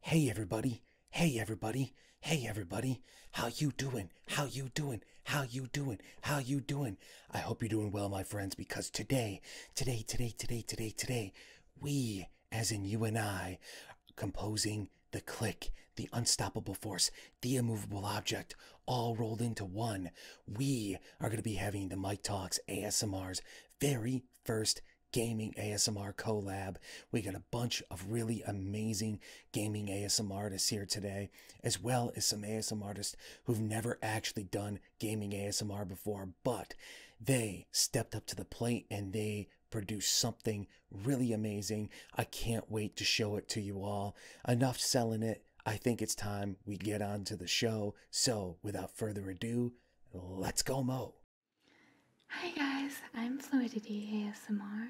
Hey everybody, hey everybody, hey everybody, how you doing? How you doing? How you doing? How you doing? I hope you're doing well, my friends, because today, today, today, today, today, today, we as in you and I, composing the click, the unstoppable force, the immovable object, all rolled into one. We are going to be having the Mike Talks ASMR's very first gaming ASMR collab. We got a bunch of really amazing gaming ASMR artists here today, as well as some ASMR artists who've never actually done gaming ASMR before, but they stepped up to the plate and they produced something really amazing. I can't wait to show it to you all. Enough selling it. I think it's time we get on to the show. So, without further ado, let's go, Mo. Hi, guys. I'm Fluidity ASMR.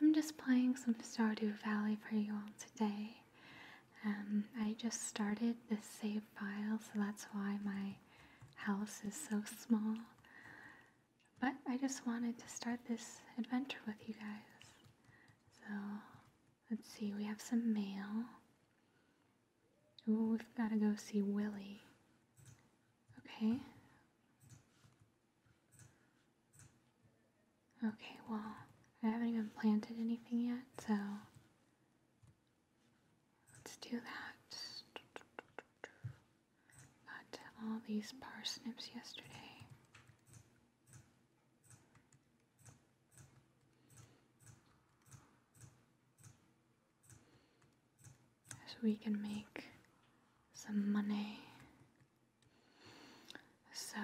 I'm just playing some Stardew Valley for you all today. Um, I just started the save file, so that's why my house is so small. But I just wanted to start this adventure with you guys. So let's see, we have some mail. Ooh, we've got to go see Willie. Okay. Okay, well, I haven't even planted anything yet, so Let's do that. Got all these parsnips yesterday. So we can make some money. So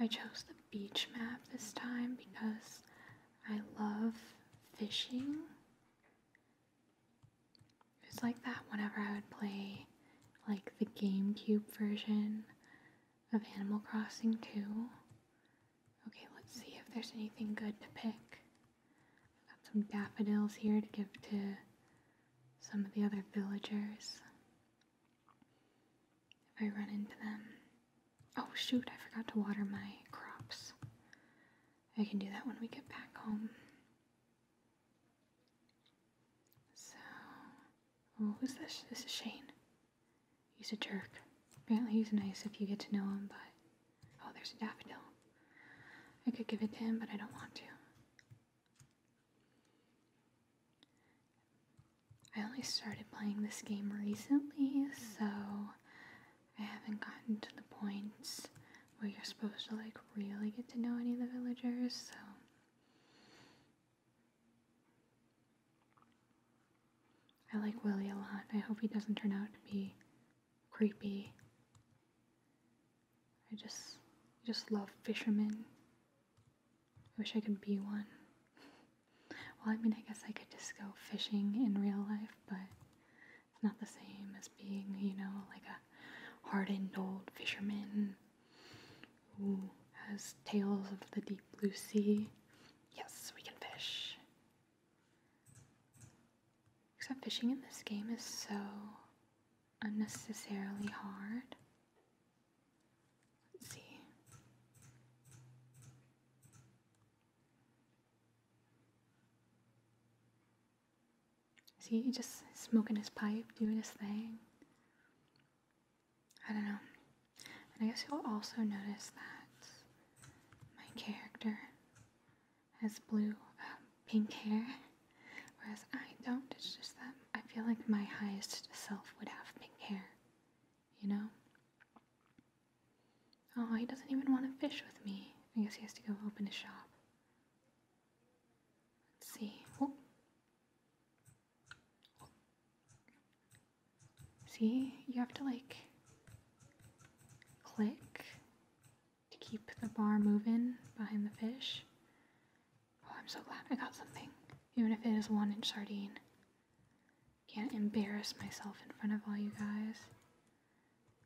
I chose the beach map this time because I love fishing it was like that whenever I would play like the GameCube version of Animal Crossing 2. Okay, let's see if there's anything good to pick. I've got some daffodils here to give to some of the other villagers if I run into them. Oh shoot, I forgot to water my crops. I can do that when we get back home. So, oh, who's this? This is Shane. He's a jerk. Apparently he's nice if you get to know him, but... Oh, there's a daffodil. I could give it to him, but I don't want to. I only started playing this game recently, so I haven't gotten to the points where you're supposed to like really get to know any of the villagers, so I like Willie a lot. I hope he doesn't turn out to be creepy. I just I just love fishermen. I wish I could be one. well, I mean, I guess I could just go fishing in real life, but not the same as being, you know, like a hardened old fisherman who has tales of the deep blue sea. Yes, we can fish. Except fishing in this game is so unnecessarily hard. Let's see. See, he just smoking his pipe, doing his thing. I don't know. And I guess you'll also notice that my character has blue, um, pink hair, whereas I don't. It's just that I feel like my highest self would have pink hair, you know? Oh, he doesn't even want to fish with me. I guess he has to go open his shop. Let's see. See, you have to like click to keep the bar moving behind the fish. Oh, I'm so glad I got something, even if it is one inch sardine. Can't embarrass myself in front of all you guys.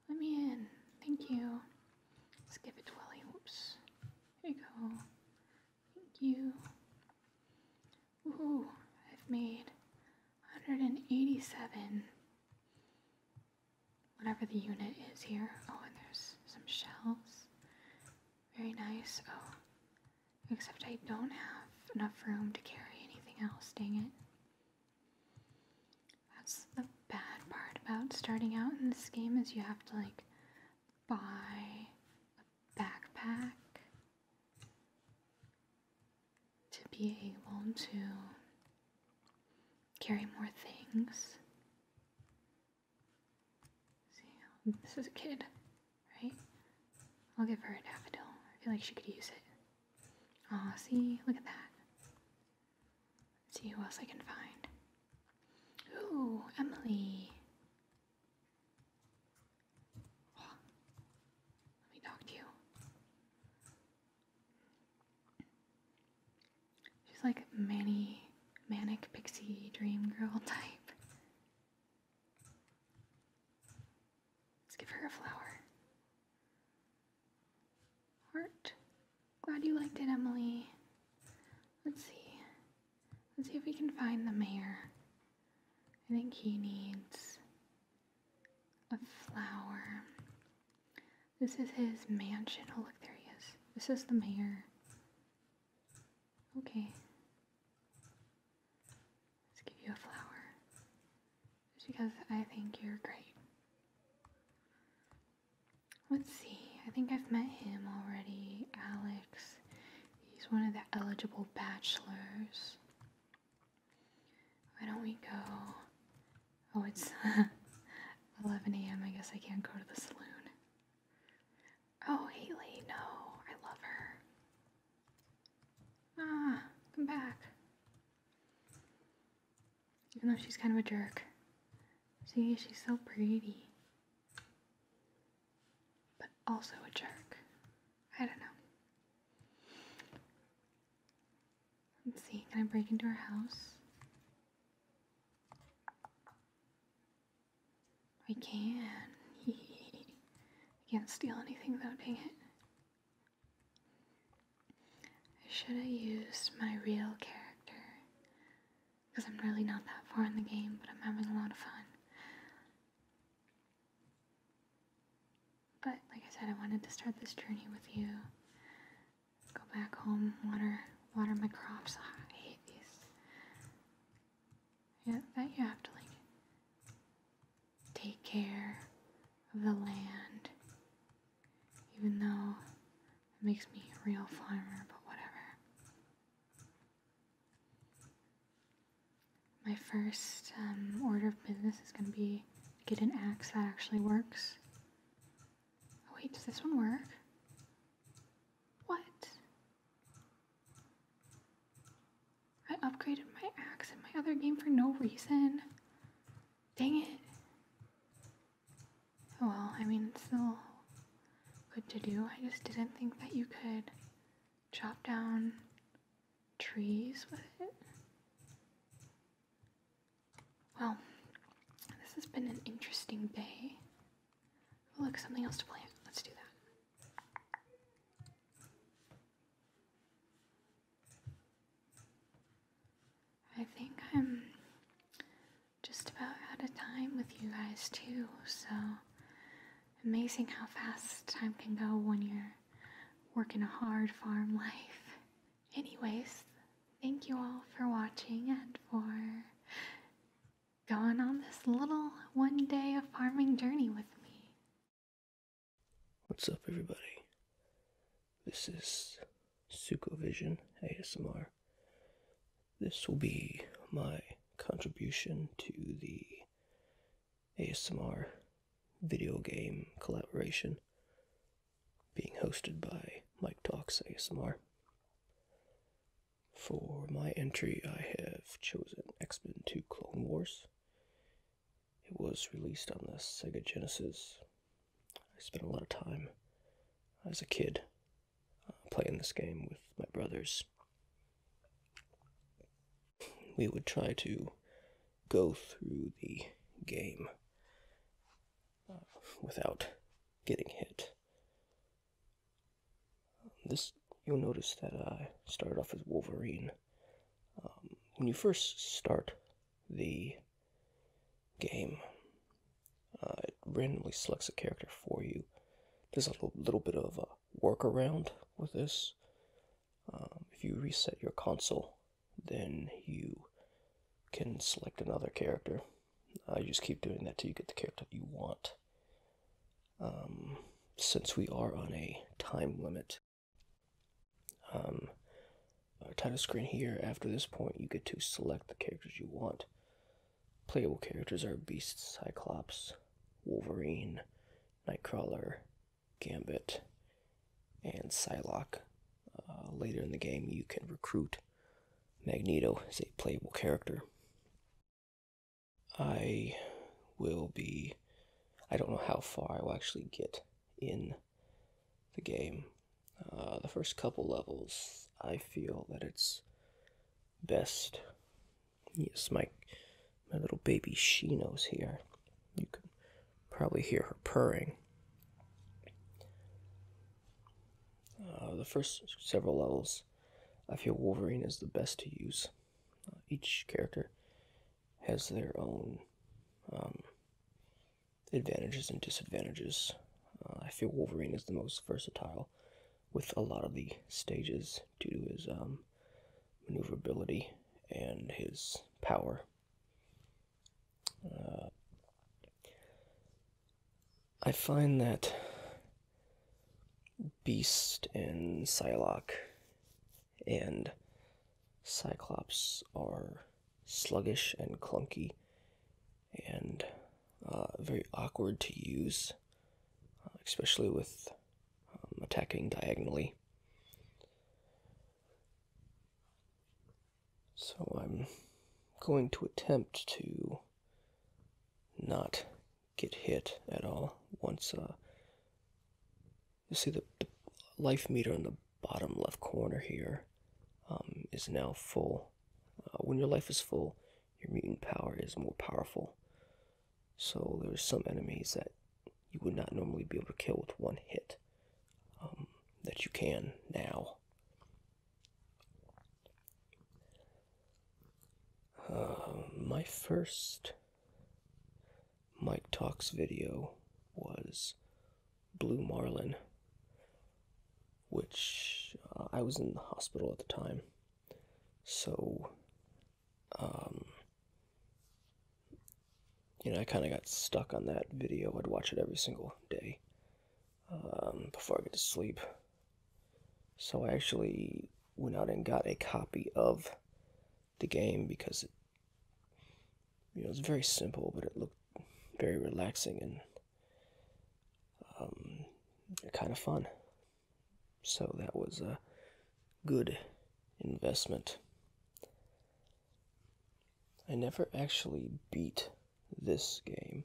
Let me in. Thank you. Let's give it to Willie. Whoops. There you go. Thank you. Ooh, I've made 187. Whatever the unit is here. Oh, and there's some shells. Very nice. Oh, except I don't have enough room to carry anything else. Dang it. That's the bad part about starting out in this game is you have to like buy a backpack to be able to carry more things. See, this is a kid, right? I'll give her a daffodil. I feel like she could use it. Aw, see? Look at that. see who else I can find. Ooh, Emily. let me talk to you. She's like many manic pixie dream girl type. Let's give her a flower. Heart. Glad you liked it, Emily. Let's see. Let's see if we can find the mayor. I think he needs a flower. This is his mansion. Oh, look, there he is. This is the mayor. Okay. Let's give you a flower. Because I think you're great. Let's see, I think I've met him already, Alex. He's one of the eligible bachelors. Why don't we go? Oh, it's 11 a.m. I guess I can't go to the saloon. Oh, Haley, no, I love her. Ah, come back. Even though she's kind of a jerk. See, she's so pretty. But also a jerk. I don't know. Let's see, can I break into her house? I can. I can't steal anything though, dang it. I should have used my real character because I'm really not that far in the game, but I'm having a lot of fun. But like I said, I wanted to start this journey with you. go back home, water, water my crops. Ah, I hate these. Yeah, that you have to like take care of the land even though it makes me a real farmer, but whatever. My first um, order of business is going to be get an axe that actually works. Oh, wait, does this one work? What? I upgraded my axe in my other game for no reason. Dang it. Oh, well, I mean, it's still good to do. I just didn't think that you could chop down trees with it. Well, this has been an interesting day. Oh, look, something else to plant. Let's do that. I think I'm just about out of time with you guys, too. So amazing how fast time can go when you're working a hard farm life. Anyways, thank you all for watching and for going on this little one day of farming journey with me. What's up, everybody? This is Sukovision ASMR. This will be my contribution to the ASMR video game collaboration being hosted by Mike Talks ASMR. For my entry, I have chosen X Men 2 Clone Wars. It was released on the Sega Genesis I spent a lot of time as a kid uh, playing this game with my brothers. We would try to go through the game uh, without getting hit. This you'll notice that I started off as Wolverine. Um, when you first start the game. Uh, it randomly selects a character for you. There's a little, little bit of a workaround with this. Um, if you reset your console, then you can select another character. Uh, you just keep doing that till you get the character you want. Um, since we are on a time limit, um, uh, title screen here. After this point, you get to select the characters you want. Playable characters are Beast, Cyclops, Wolverine, Nightcrawler, Gambit, and Psylocke. Uh, later in the game, you can recruit Magneto as a playable character. I will be. I don't know how far I will actually get in the game. Uh, the first couple levels, I feel that it's best. Yes, my my little baby Shino's here. You can probably hear her purring. Uh, the first several levels, I feel Wolverine is the best to use. Uh, each character has their own um, advantages and disadvantages. Uh, I feel Wolverine is the most versatile with a lot of the stages due to his um, maneuverability and his power. Uh, I find that Beast and Psylocke and Cyclops are sluggish and clunky and uh, very awkward to use, uh, especially with um, attacking diagonally. So I'm going to attempt to not get hit at all once. Uh, you see the, life meter on the bottom left corner here, um, is now full. Uh, when your life is full, your mutant power is more powerful. So there's some enemies that you would not normally be able to kill with one hit um, that you can now. Uh, my first Mike Talks video was blue marlin, which uh, I was in the hospital at the time. So, um, you know, I kind of got stuck on that video. I'd watch it every single day um, before I get to sleep. So I actually went out and got a copy of the game because you know, it's very simple, but it looked very relaxing and um, kind of fun. So that was a good investment. I never actually beat this game.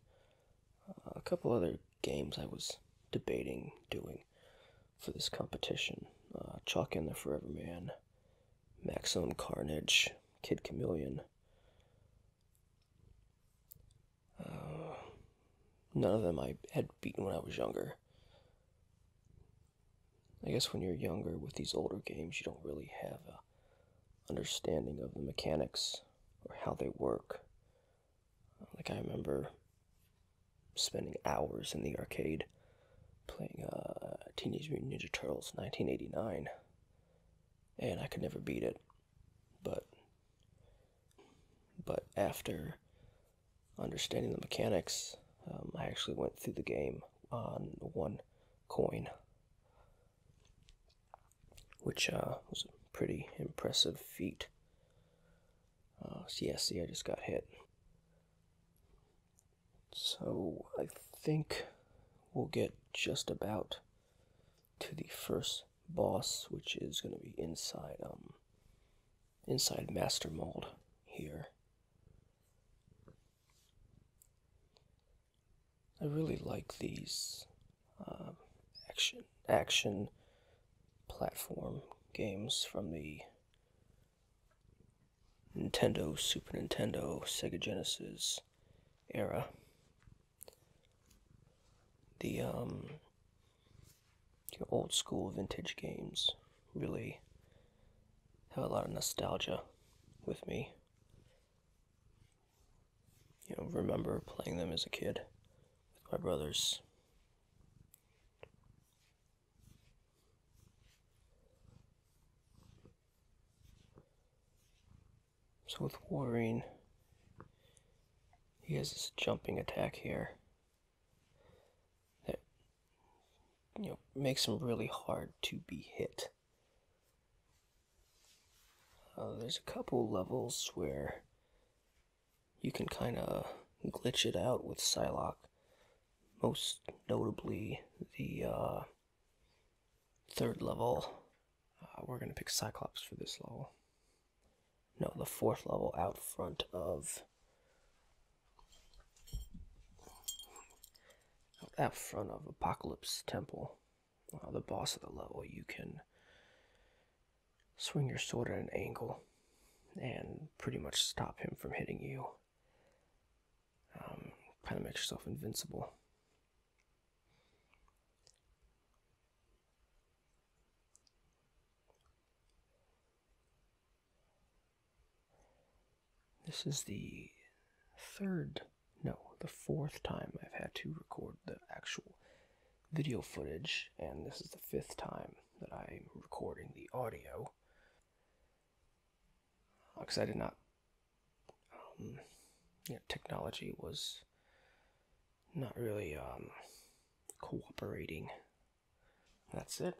Uh, a couple other games I was debating doing for this competition uh, Chalk in the Forever Man, Maximum Carnage, Kid Chameleon, uh, none of them I had beaten when I was younger. I guess when you're younger with these older games, you don't really have a understanding of the mechanics or how they work. Like I remember spending hours in the arcade playing uh, Teenage Mutant Ninja Turtles 1989, and I could never beat it. But but after understanding the mechanics, um, I actually went through the game on one coin, which uh, was a pretty impressive feat. Uh, so yeah, see, I just got hit. So I think we'll get just about to the first boss, which is going to be inside um inside master mold here. I really like these um, action action platform games from the Nintendo, Super Nintendo, Sega Genesis era the um your old school vintage games really have a lot of nostalgia with me. You know, remember playing them as a kid with my brothers. So with Warren, he has this jumping attack here that you know makes him really hard to be hit. Uh, there's a couple levels where you can kind of glitch it out with Psylocke, most notably the uh, third level uh, we're going to pick Cyclops for this level. No, the fourth level out front of. Out front of Apocalypse Temple, uh, the boss of the level, you can swing your sword at an angle and pretty much stop him from hitting you. Um, kind of makes yourself invincible. This is the third, no, the fourth time I've had to record the actual video footage, and this is the fifth time that I'm recording the audio. Because I did not um, technology was not really um, cooperating. That's it.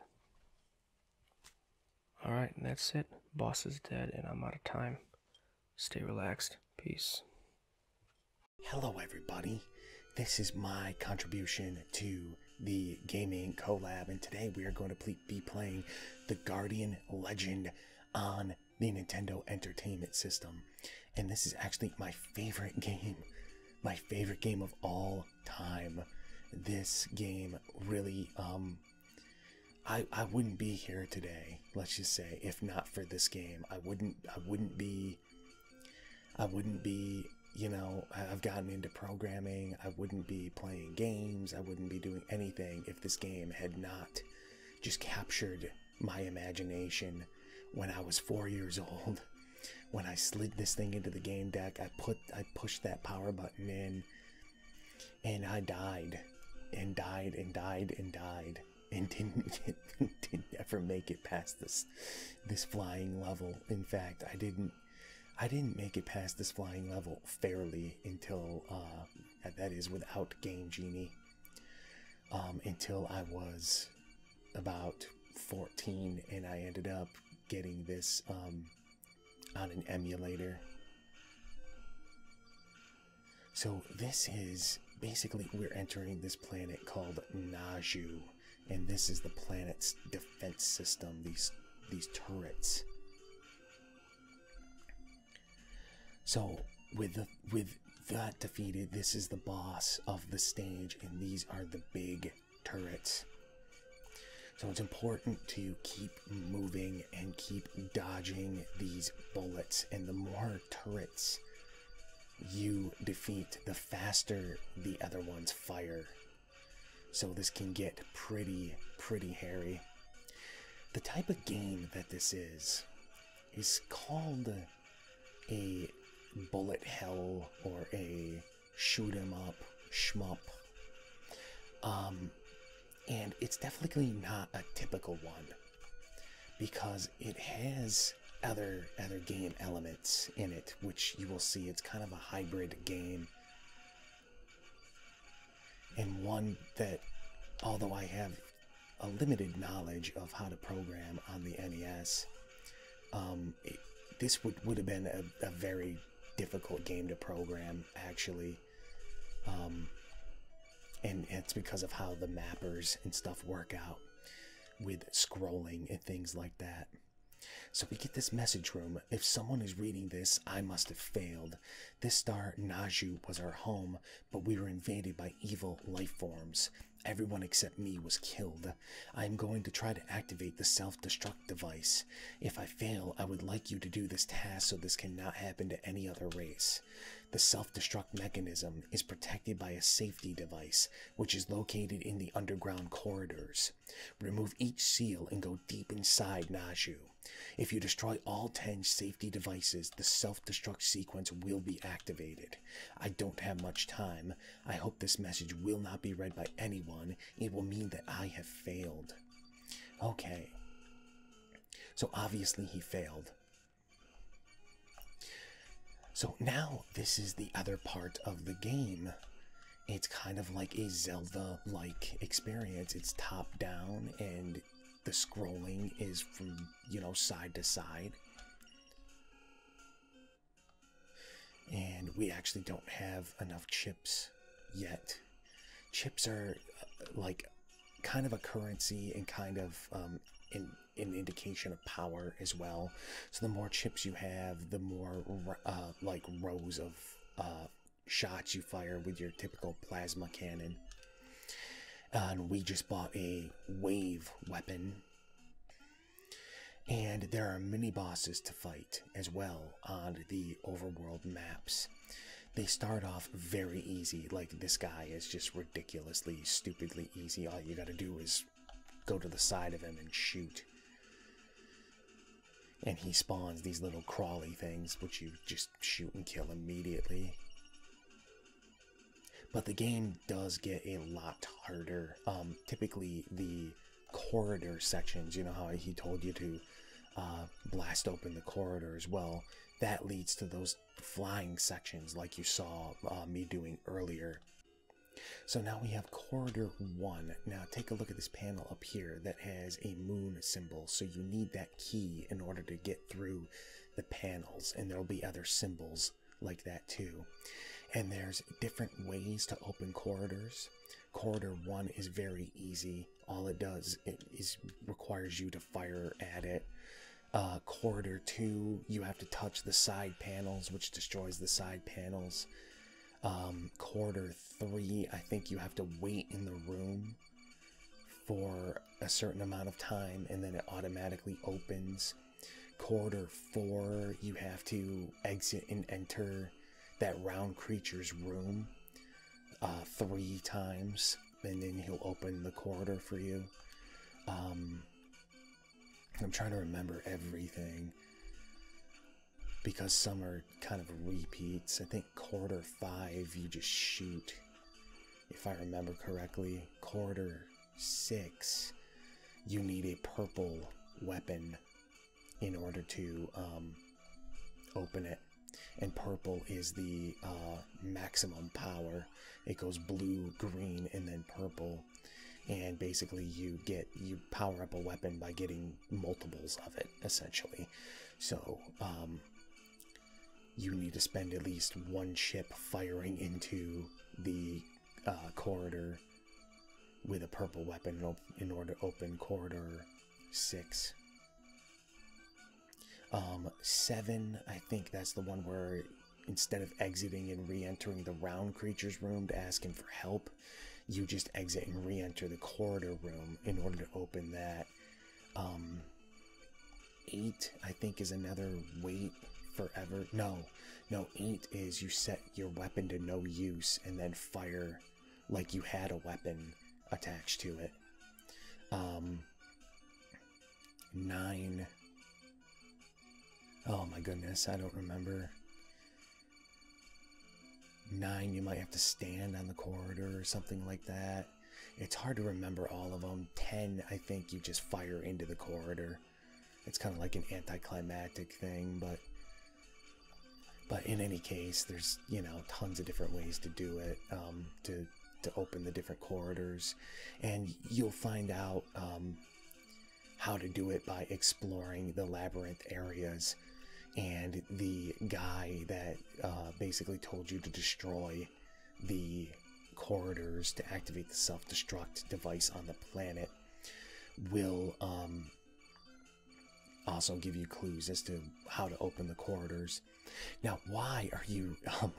Alright, that's it. Boss is dead, and I'm out of time. Stay relaxed. Peace. Hello, everybody. This is my contribution to the gaming collab, and today we are going to be playing the Guardian Legend on the Nintendo Entertainment System. And this is actually my favorite game. My favorite game of all time. This game really, um, I, I wouldn't be here today, let's just say, if not for this game. I wouldn't, I wouldn't be, I wouldn't be, you know, I've gotten into programming. I wouldn't be playing games. I wouldn't be doing anything if this game had not just captured my imagination when I was four years old. When I slid this thing into the game deck, I put I pushed that power button in and I died and died and died and died and didn't get, didn't ever make it past this this flying level. In fact, I didn't I didn't make it past this flying level fairly until uh, that is without Game Genie. Um, until I was about 14 and I ended up getting this um, on an emulator. So this is basically we're entering this planet called Naju and this is the planet's defense system these these turrets. So with the, with that defeated, this is the boss of the stage, and these are the big turrets. So it's important to keep moving and keep dodging these bullets. And the more turrets you defeat, the faster the other ones fire. So this can get pretty, pretty hairy. The type of game that this is is called a bullet hell or a shoot 'em up shmup. Um, and it's definitely not a typical one because it has other other game elements in it, which you will see it's kind of a hybrid game. And one that although I have a limited knowledge of how to program on the NES, um, this would, would have been a, very difficult game to program, actually. Um, and it's because of how the mappers and stuff work out with scrolling and things like that. So we get this message room. If someone is reading this, I must have failed. This star, Naju, was our home, but we were invaded by evil life forms. Everyone except me was killed. I am going to try to activate the self-destruct device. If I fail, I would like you to do this task so this cannot happen to any other race. The self-destruct mechanism is protected by a safety device, which is located in the underground corridors. Remove each seal and go deep inside Naju. If you destroy all 10 seals devices, the self-destruct sequence will be activated. I don't have much time. I hope this message will not be read by anyone. It will mean that I have failed. Okay. So obviously he failed. So now this is the other part of the game. It's kind of like a Zelda-like experience. It's top-down and the scrolling is from, you know, side to side. And we actually don't have enough chips yet. Chips are uh, like kind of a currency and kind of um, in, an indication of power as well. So the more chips you have, the more uh, like rows of uh, shots you fire with your typical plasma cannon and we just bought a wave weapon. And there are mini bosses to fight as well on the overworld maps. They start off very easy, like this guy is just ridiculously, stupidly easy. All you gotta do is go to the side of him and shoot. And he spawns these little crawly things, which you just shoot and kill immediately. But the game does get a lot harder. Um, typically, the corridor sections, you know how he told you to uh, blast open the corridors. Well, that leads to those flying sections like you saw uh, me doing earlier. So now we have corridor one. Now take a look at this panel up here that has a moon symbol. So you need that key in order to get through the panels and there'll be other symbols like that too. And there's different ways to open corridors. Corridor 1 is very easy. All it does is requires you to fire at it. Uh, corridor 2, you have to touch the side panels, which destroys the side panels. Um, corridor 3, I think you have to wait in the room for a certain amount of time and then it automatically opens. Quarter 4, you have to exit and enter that round creature's room uh, three times, and then he'll open the corridor for you. Um, I'm trying to remember everything because some are kind of repeats. I think quarter five, you just shoot, if I remember correctly. Quarter six, you need a purple weapon in order to um, open it. And purple is the uh, maximum power. It goes blue, green, and then purple. And basically, you get you power up a weapon by getting multiples of it, essentially. So um, you need to spend at least one chip firing into the uh, corridor with a purple weapon in order to open corridor six. Um, seven, I think that's the one where instead of exiting and re-entering the round creature's room to ask him for help, you just exit and re-enter the corridor room in order to open that. Um, eight, I think, is another wait forever. No, no, eight is you set your weapon to no use and then fire like you had a weapon attached to it. Um, nine. Oh my goodness, I don't remember. Nine, you might have to stand on the corridor or something like that. It's hard to remember all of them. Ten, I think you just fire into the corridor it's kind of like an anticlimactic thing, but but in any case, there's you know tons of different ways to do it um, to to open the different corridors, and you'll find out um, how to do it by exploring the labyrinth areas. And the guy that uh, basically told you to destroy the corridors to activate the self destruct device on the planet will um, also give you clues as to how to open the corridors. Now, why are you um,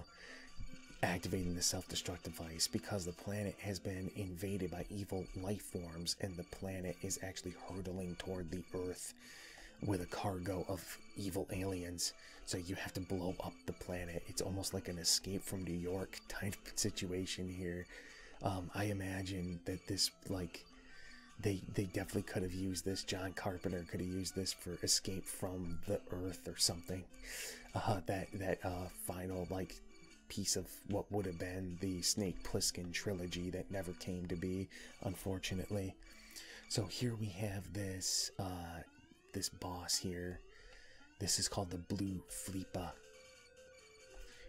activating the self destruct device? Because the planet has been invaded by evil life forms, and the planet is actually hurtling toward the Earth with a cargo of evil aliens. So you have to blow up the planet. It's almost like an escape from New York type situation here. Um, I imagine that this like they they definitely could have used this. John Carpenter could have used this for Escape from the Earth or something. Uh, that that uh, final like piece of what would have been the Snake Plissken trilogy that never came to be, unfortunately. So here we have this uh, this boss here. This is called the Blue Fleepa.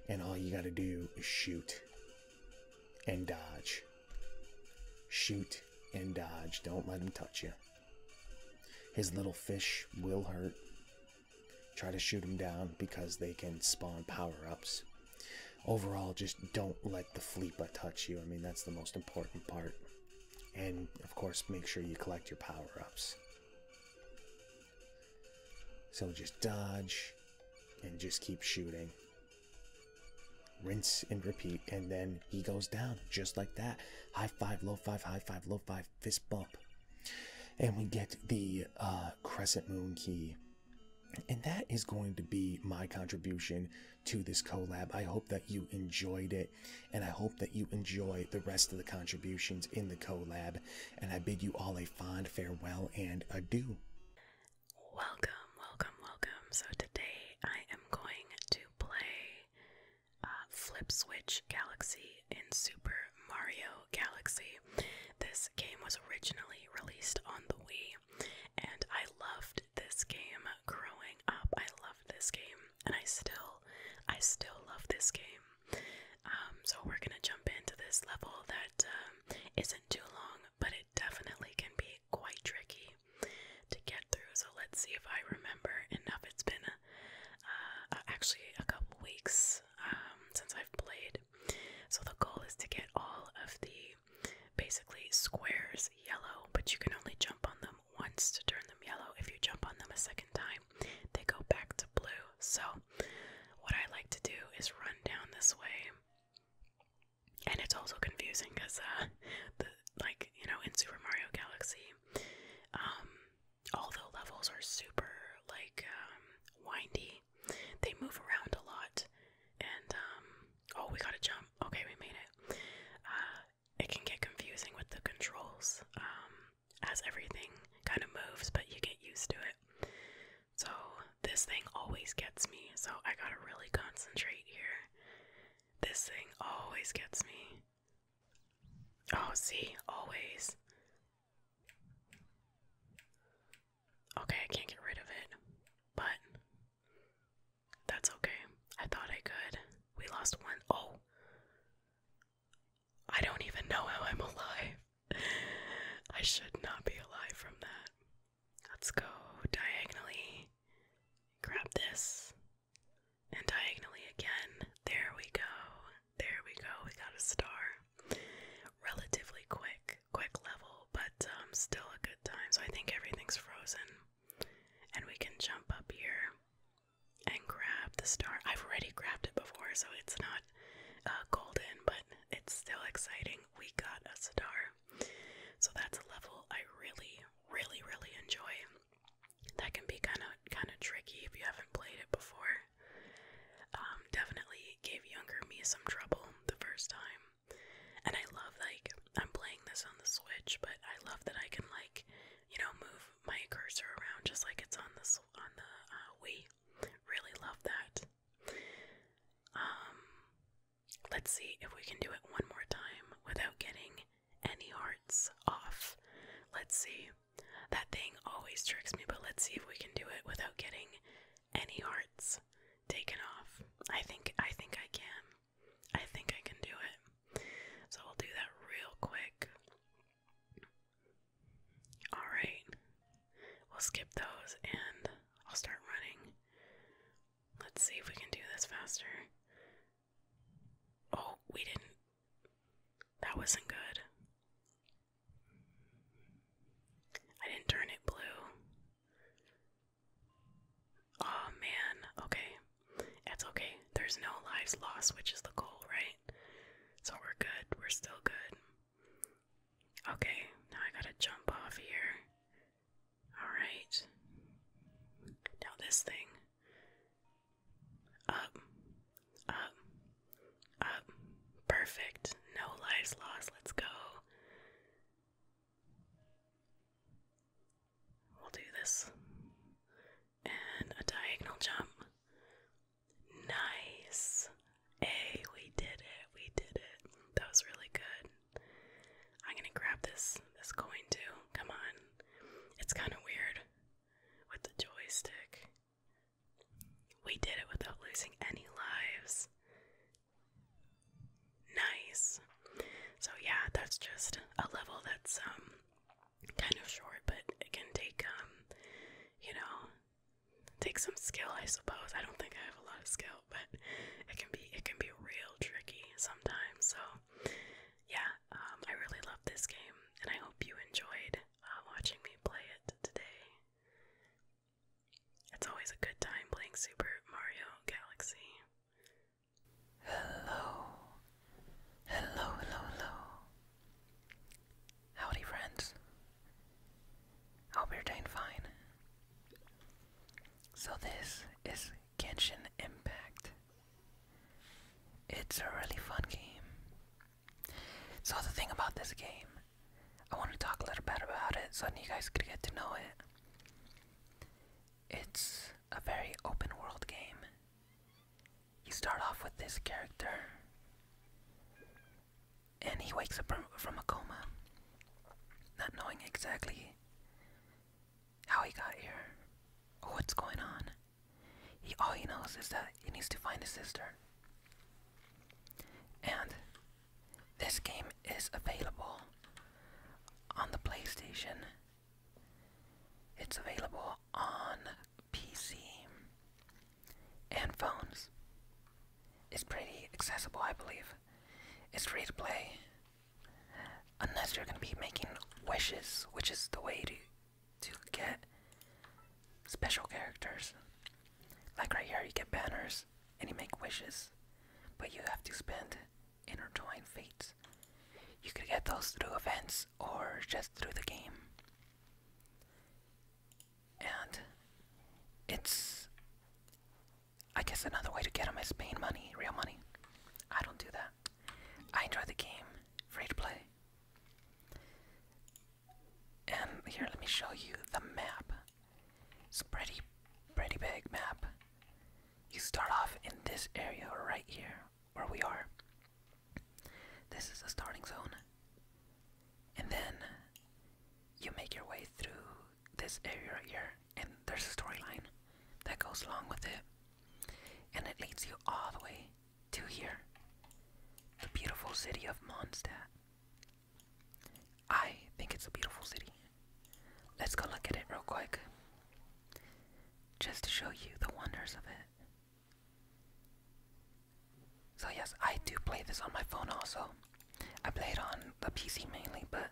And all you gotta do is shoot and dodge. Shoot and dodge. Don't let him touch you. His little fish will hurt. Try to shoot him down because they can spawn power ups. Overall, just don't let the Fleepa touch you. I mean, that's the most important part. And of course, make sure you collect your power ups. So just dodge and just keep shooting. Rinse and repeat, and then he goes down just like that. High five, low five, high five, low five, fist bump. And we get the uh, crescent moon key. And that is going to be my contribution to this collab. I hope that you enjoyed it. And I hope that you enjoy the rest of the contributions in the collab. And I bid you all a fond farewell and adieu. Welcome, welcome, welcome. So today I am going to play uh, Flip Switch Galaxy in Super Mario Galaxy. This game was originally released on the Wii, and I loved this game growing up. I loved this game, and I still, I still love this game. Um, so we're gonna jump into this level that um, not too long, but it definitely can be quite tricky to get through. So let's see if I remember enough. It's been uh, actually a couple weeks um, since I've played. So the goal is to get all of the basically squares yellow, but you can only jump on them once to turn them yellow. If you jump on them a second time, they go back to blue. So, what I like to do is run down this way. And it's also confusing because, uh, like, you know, in Super Mario Galaxy, um, all the levels are super, like, um, windy. They move around a lot. And, um, oh, we gotta jump. Okay, we made it. Uh, it can get confusing with the controls. Um, as everything kind of moves, but you get used to it. So, this thing always gets me, so I gotta really concentrate here. This thing always gets me. Oh, see, always. Okay, I can't get rid of it, but that's okay. I thought I could. We lost one. Oh, I don't even know how I'm alive. I should not be alive from that. Let's go diagonally. Grab this. And diagonally again. There we go. There we go. We got a star. Relatively quick. Quick level, but um, still a good time. So I think everything's frozen. And we can jump up here and grab the star. I've already grabbed it before, so it's not uh, golden, but it's still exciting. We got a star. So that's a level I really, really, really enjoy. That can be kind of kind of tricky if you haven't played it before. Um, definitely gave younger me some trouble the first time. And I love like I'm playing this on the Switch, but I love that I can like you know, move my cursor around just like it's on the on the uh, Wii. Really love that. Um, let's see if we can do it one more time without getting any hearts off. Let's see. That thing always tricks me, but let's see if we can do it without getting any hearts taken off. I think I think I can. I think I can do it. So we'll do that real quick. Alright, we'll skip those and I'll start running. Let's see if we can do this faster. Oh, we didn't. That wasn't good. I didn't turn it blue. Oh man, okay. That's okay. There's no lives lost, which is the goal, right? So we're good. We're still good. Okay, now I gotta jump off here. Alright. Now this thing. Up. Up. Up. Perfect. No lives lost. Let's go. We'll do this. And a diagonal jump. Nice. Hey, we did it. We did it. That was really good. I'm gonna grab this this coin too. Come on. It's kinda weird with the joystick. We did it without losing any lives. Nice. So yeah, that's just a level that's um kind of short, but it can take um you know, Take some skill, I suppose. I don't think I have a lot of skill, but it can be it can be real tricky sometimes. So yeah, um, I really love this game, and I hope you enjoyed uh, watching me play it today. It's always a good time playing Super Mario Galaxy. Hello, hello, hello, hello. Howdy, friends. I hope you're doing fine. So, this is Genshin Impact. It's a really fun game. So, the thing about this game, I want to talk a little bit about it so you guys could get to know it. It's a very open world game you start off with this character, and he wakes up from a coma, not knowing exactly how he got here or what's going on. He all he knows is that he needs to find his sister. And this game is available on the PlayStation. It's available on PC and phones. is pretty accessible, I believe. It's free to play. Unless you're gonna be making wishes, which is the way to, to get special characters. Like right here, you get banners and you make wishes, but you have to spend intertwined fates. You could get those through events or just through the game. And it's, I guess, another way to get them is paying money, real money. I don't do that. I enjoy the game, free to play. And here, let me show you the map. It's a pretty, pretty big map. You start off in this area right here, where we are. This is the starting zone. And then you make your way through this area right here, and there's a storyline that goes along with it. And it leads you all the way to here the beautiful city of Mondstadt. I think it's a beautiful city. Let's go look at it real quick just to show you the wonders of it. So yes, I do play this on my phone also. I play it on the PC mainly, but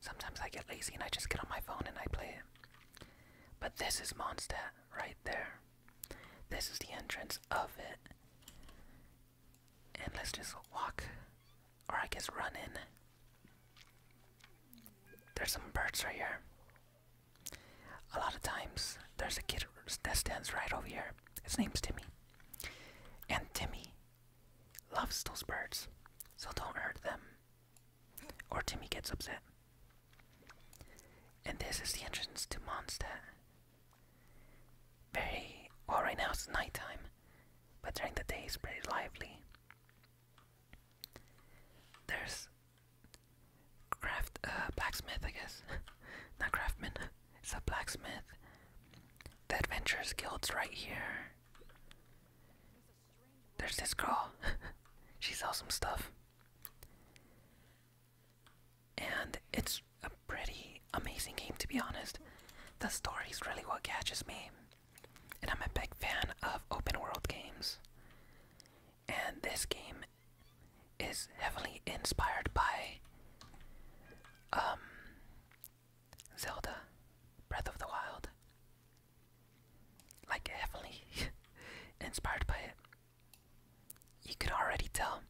sometimes I get lazy and I just get on my phone and I play it. But this is Mondstadt right there. This is the entrance of it. And let's just walk, or I guess run in. There's some birds right here. A lot of times, there's a kid that stands right over here. His name's Timmy. And Timmy loves those birds, so don't hurt them. Or Timmy gets upset. And this is the entrance to Monster. Very well now it's nighttime, but during the day it's pretty lively. There's craft uh, blacksmith, I guess. Not craftsman. It's a blacksmith. The adventures Guild's right here. There's this girl. she sells some stuff. And it's a pretty amazing game, to be honest. The story's really what catches me. And I'm a big fan of open world games. And this game is heavily inspired by um, Zelda Breath of the Wild. Like, heavily inspired by it. You can already tell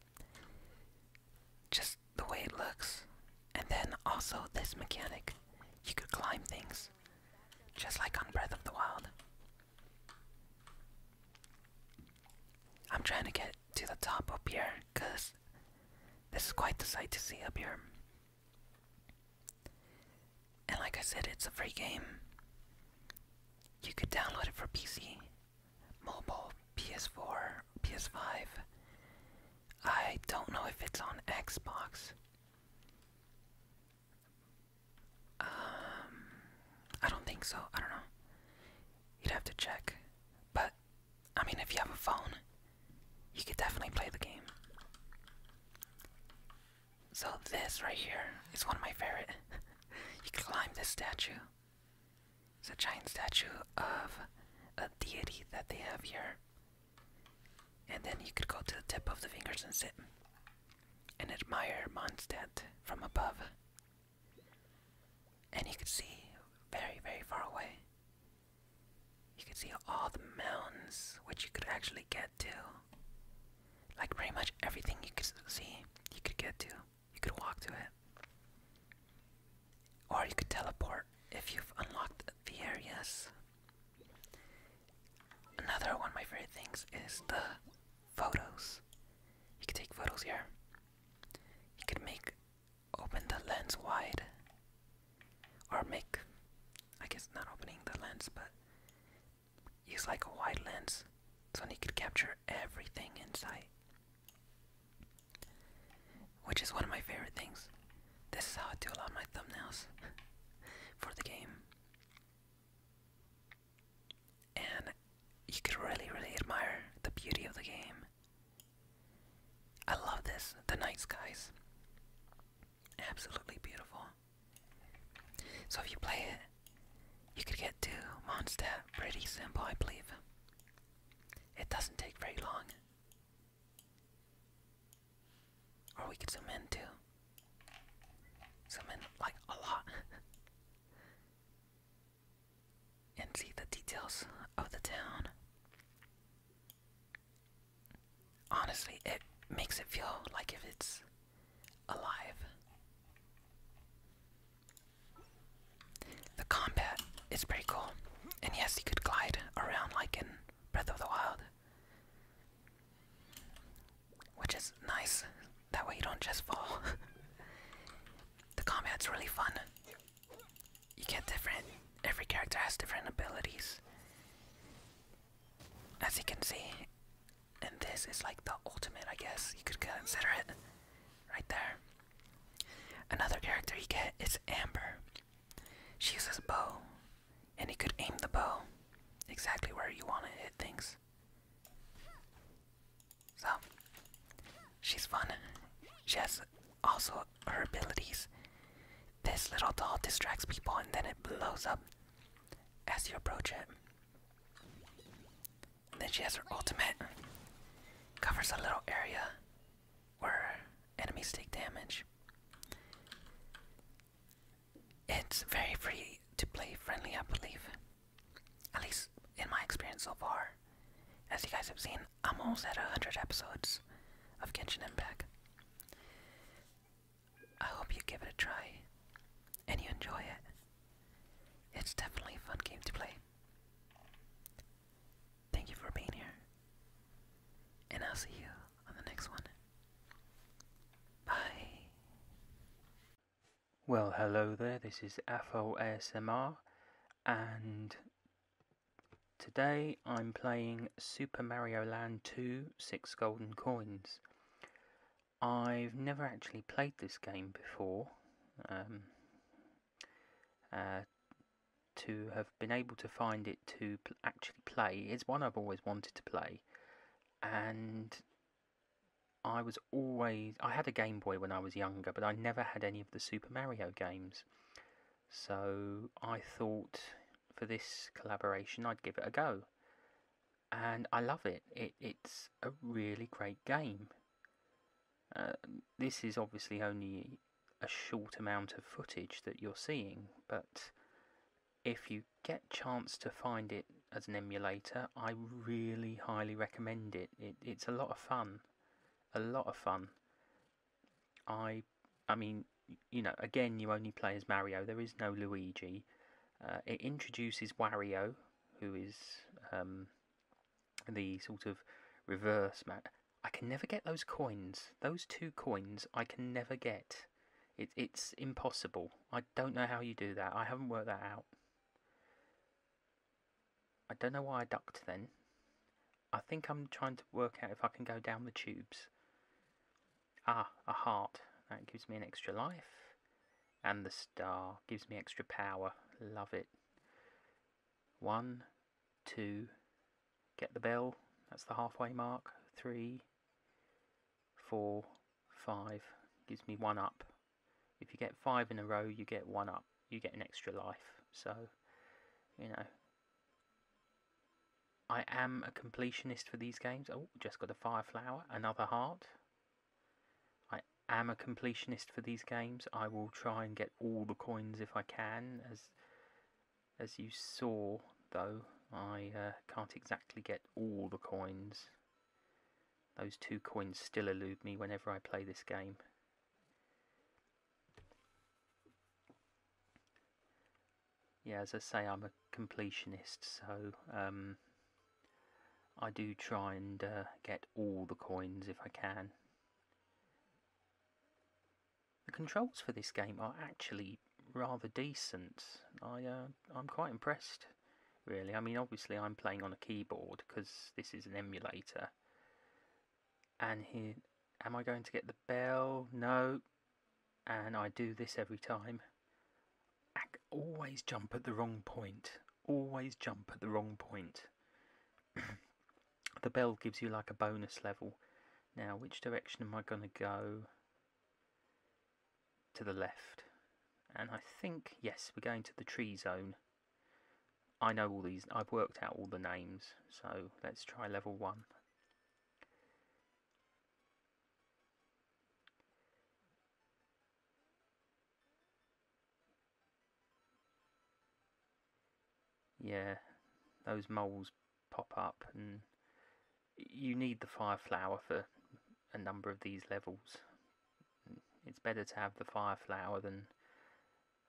just the way it looks. And then also this mechanic. You could climb things, just like on Breath of the Wild. I'm trying to get to the top up here because this is quite the sight to see up here. And like I said, it's a free game. You could download it for PC, mobile, PS4, PS5. I don't know if it's on Xbox. Um, I don't think so. I don't know. You'd have to check. But, I mean, if you have a phone, you could definitely play the game. So, this right here is one of my favorite. you climb this statue. It's a giant statue of a deity that they have here. And then you could go to the tip of the fingers and sit and admire Mondstadt from above. And you could see very, very far away. You could see all the mountains which you could actually get to. Like pretty much everything you could see, you could get to. You could walk to it. Or you could teleport if you've unlocked the areas. Another one of my favorite things is the photos. You can take photos here. He could make open the lens wide. Or make, I guess not opening the lens, but use like a wide lens so he could capture everything in sight. Which is one of my favorite things. This is how I do a lot of my thumbnails for the game and you could really, really admire the beauty of the game. I love this. The night skies. Absolutely beautiful. So if you play it, you could get to Mondstadt pretty simple, I believe. It doesn't take very long. Or we could zoom in too. Zoom in like a lot. and see the details of the town. Honestly, it makes it feel like if it's alive. The combat is pretty cool. And yes, you could glide around like in Breath of the Wild. Which is nice. That way you don't just fall. the combat's really fun you get different every character has different abilities as you can see and this is like the ultimate i guess you could consider it right there another character you get is amber she uses a bow and you could aim the bow exactly where you want to hit things so, she's fun. She has also her abilities. This little doll distracts people and then it blows up as you approach it. then she has her ultimate. Covers a little area where enemies take damage. It's very free to play friendly, I believe at least in my experience so far. As you guys have seen, I'm almost at 100 episodes of Genshin Impact. I hope you give it a try and you enjoy it. It's definitely a fun game to play. Thank you for being here, and I'll see you on the next one. Bye. Well, hello there, this is AFO ASMR, and today I'm playing Super Mario Land 2 6 Golden Coins. I've never actually played this game before um, uh, to have been able to find it to actually play is one I've always wanted to play and I was always I had a Game Boy when I was younger but I never had any of the Super Super Mario games. So I thought for this collaboration I'd give it a go. And I love it. it's a really great game. Uh, this is obviously only a short amount of footage that you're seeing, but if you get chance to find it as an emulator, I really highly recommend it it's a lot of fun a lot of fun. I, I mean, you know, again, you only play as Mario. There is no Luigi. Uh, it introduces Wario, who is um, the sort of reverse man. I can never get those coins. Those two coins, I can never get. It, it's impossible. I don't know how you do that. I haven't worked that out. I don't know why I ducked then. I think I'm trying to work out if I can go down the tubes. Ah, a heart. That gives me an extra life. And the star gives me extra power. Love it. One, two, get the bell. That's the halfway mark. Three, four, five. Gives me one up. If you get five in a row, you get one up you get an extra life. So, you know, I am a completionist for these games. Oh, just got a fire flower, another heart. I am a completionist for these games. I will try and get all the coins if I can. As as you saw, though, I uh, can't exactly get all the coins. Those two coins still elude me whenever I play this game yeah, as I say, I'm a completionist, so um, I do try and uh, get all the coins if I can. The controls for this game are actually rather decent. I uh, I'm quite impressed, really. I mean, obviously I'm playing on a keyboard because this is an emulator, and here am I going to get the bell no and I do this every time I always jump at the wrong point always jump at the wrong point the bell gives you like a bonus level now which direction am I going to go to the left and I think yes we're going to the tree zone I know all these, I've worked out all the names, so let's try level 1. Yeah, those moles pop up and you need the fire flower for a number of these levels. It's better to have the fire flower than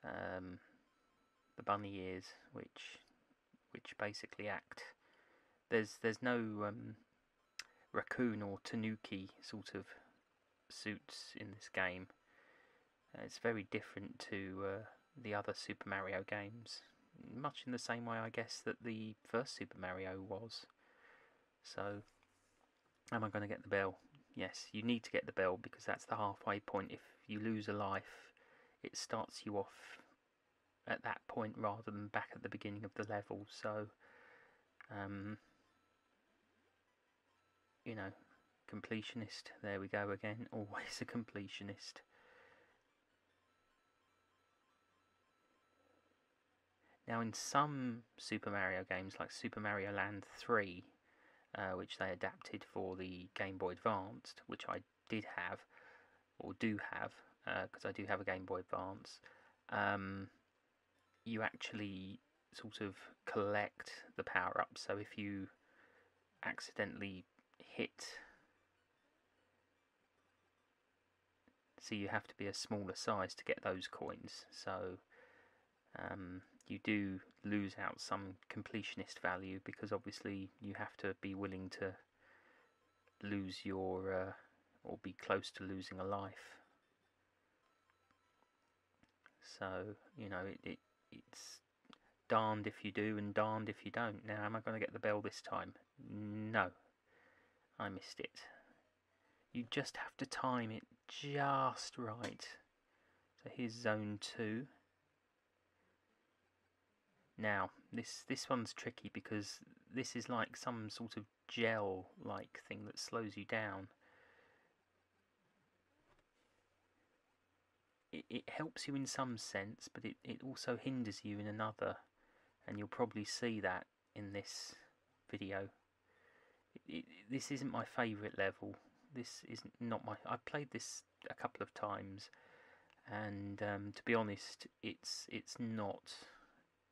um, the bunny ears, which which basically act. There's there's no um, raccoon or tanuki sort of suits in this game. Uh, it's very different to uh, the other Super Mario games, much in the same way, I guess, that the first Super Mario was. So, am I going to get the bell? Yes, you need to get the bell because that's the halfway point. If you lose a life, it starts you off at that point rather than back at the beginning of the level. So, um, you know, completionist. There we go again. Always a completionist. Now, in some Super Mario games, like Super Mario Land 3, uh, which they adapted for the Game Boy Advanced, which I did have, or do have, because uh, I do have a Game Boy Advance. Um, you actually sort of collect the power ups. So if you accidentally hit. So you have to be a smaller size to get those coins. So um, you do lose out some completionist value because obviously you have to be willing to lose your uh, or be close to losing a life. So you know it, it it's darned if you do and darned if you don't. Now am I going to get the bell this time? No, I missed it. You just have to time it just right. So here's zone two. Now, this, this one's tricky because this is like some sort of gel-like thing that slows you down. It, it helps you in some sense, but it, it also hinders you in another. And you'll probably see that in this video. this isn't my favourite level. This is not my... I played this a couple of times, and um, to be honest, it's it's not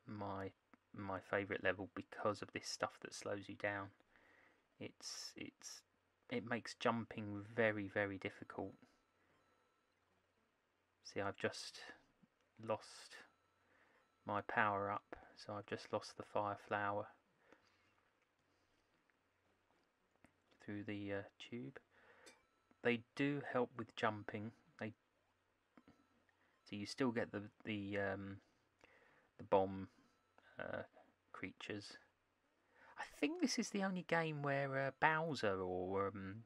my my favourite level because of this stuff that slows you down. It's it's it makes jumping very very difficult. See, I've just lost my power up, so I've just lost the fire flower through the uh, tube. They do help with jumping. They so you still get the the um, the bomb uh, creatures. I think this is the only game where uh, Bowser or um,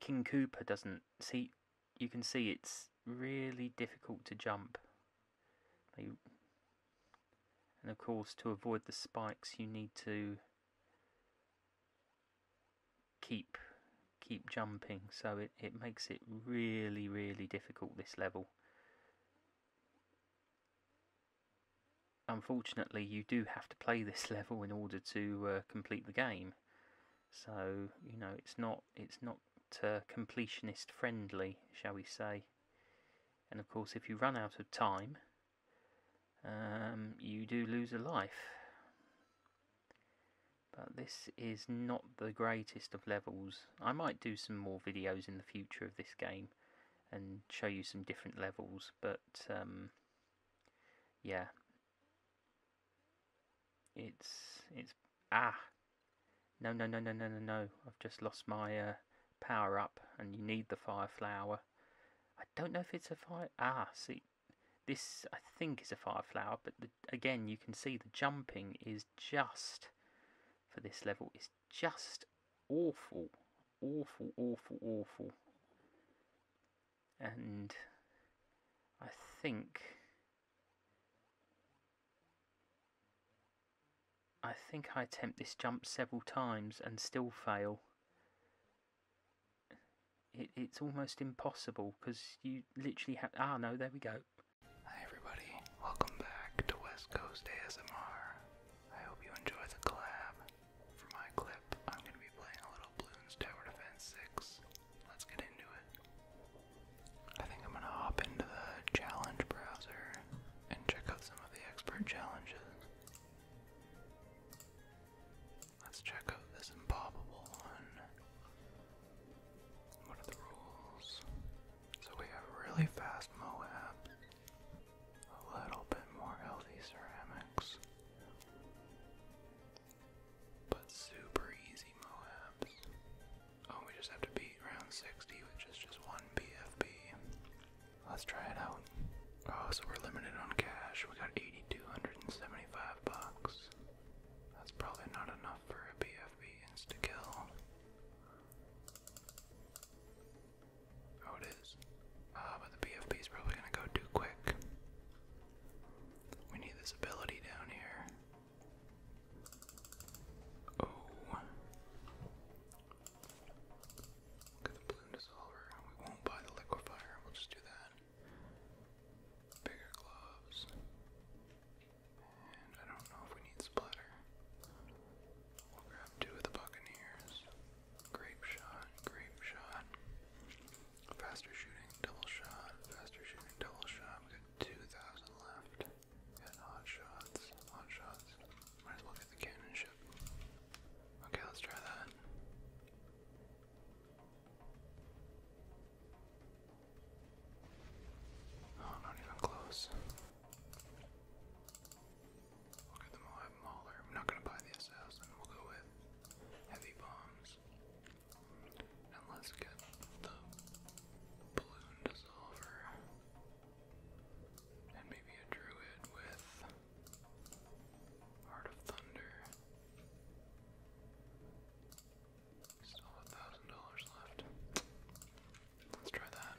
King Cooper doesn't see. You can see it's really difficult to jump and of course, to avoid the spikes, you need to keep keep jumping. So it, it makes it really, really difficult, this level. Unfortunately, you do have to play this level in order to uh, complete the game. So, you know, it's not, it's not uh, completionist friendly, shall we say. And of course, if you run out of time, um, you do lose a life. But this is not the greatest of levels. I might do some more videos in the future of this game and show you some different levels, but um, yeah. It's, it's, ah, no, no, no, no, no, no, no, I've just lost my, uh, power up and you need the fire flower. I don't know if it's a fire... Ah, see, this I think is a fire flower, but again, you can see the jumping is just, for this level, is just awful. Awful, awful, awful. And I think... I think I attempt this jump several times and still fail. It, it's almost impossible because you literally have... Ah, no, there we go. Hi everybody, welcome back to West Coast ASMR. I hope you enjoy the collab. For my clip, I'm going to be playing a little Bloons Tower Defense 6. Let's get into it. I think I'm going to hop into the challenge browser and check out some of the expert challenges. Let's check out this improbable one. What are the rules? So we have really fast Moab, a little bit more healthy ceramics, but super easy Moabs. Oh, we just have to beat round 60, which is just one BFB. Let's try it out. Oh, so we're limited on cash. We got 8,275 bucks. That's probably not enough for a BFB insta kill. Oh, it is. Ah, but the BFB is probably gonna go too quick. We need this ability down here. Oh. We won't buy the liquefier, we'll just do that. Bigger gloves. And I don't know if we need splatter. We'll grab two of the Buccaneers. Grape shot, grape shot. Faster shooting, double shot, faster shooting, double shot. We got 2,000 left. Got hot shots, hot shots. Might as well get the cannon ship. Okay, let's try that. Oh, not even close. Look at the Moab Mauler. I'm not gonna buy the assassin. We'll go with heavy bombs. And let's get the balloon dissolver. And maybe a druid with Heart of Thunder. Still a thousand dollars left. Let's try that.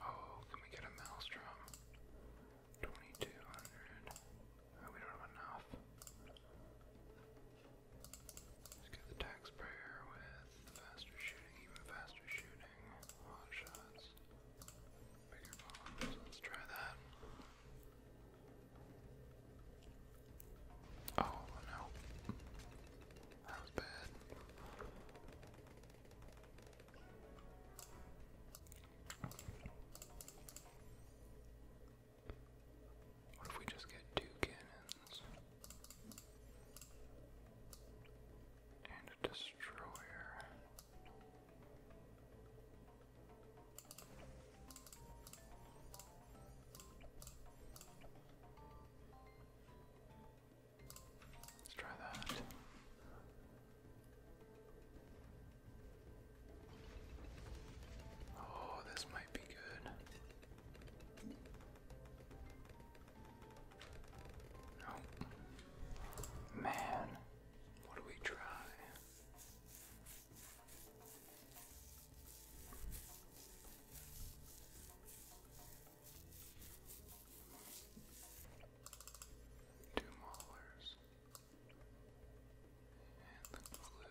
Oh, can we get a maelstrom? 2200. Oh, we don't have enough. Let's get the taxpayer with the faster shooting, even faster shooting. Hot shots. Bigger bombs. Let's try that. Oh no. That bad. What if we just get two cannons? And a destroyer. Let's try that. Oh, this might be good. Oh. Man, what do we try? Two maulers and the glue.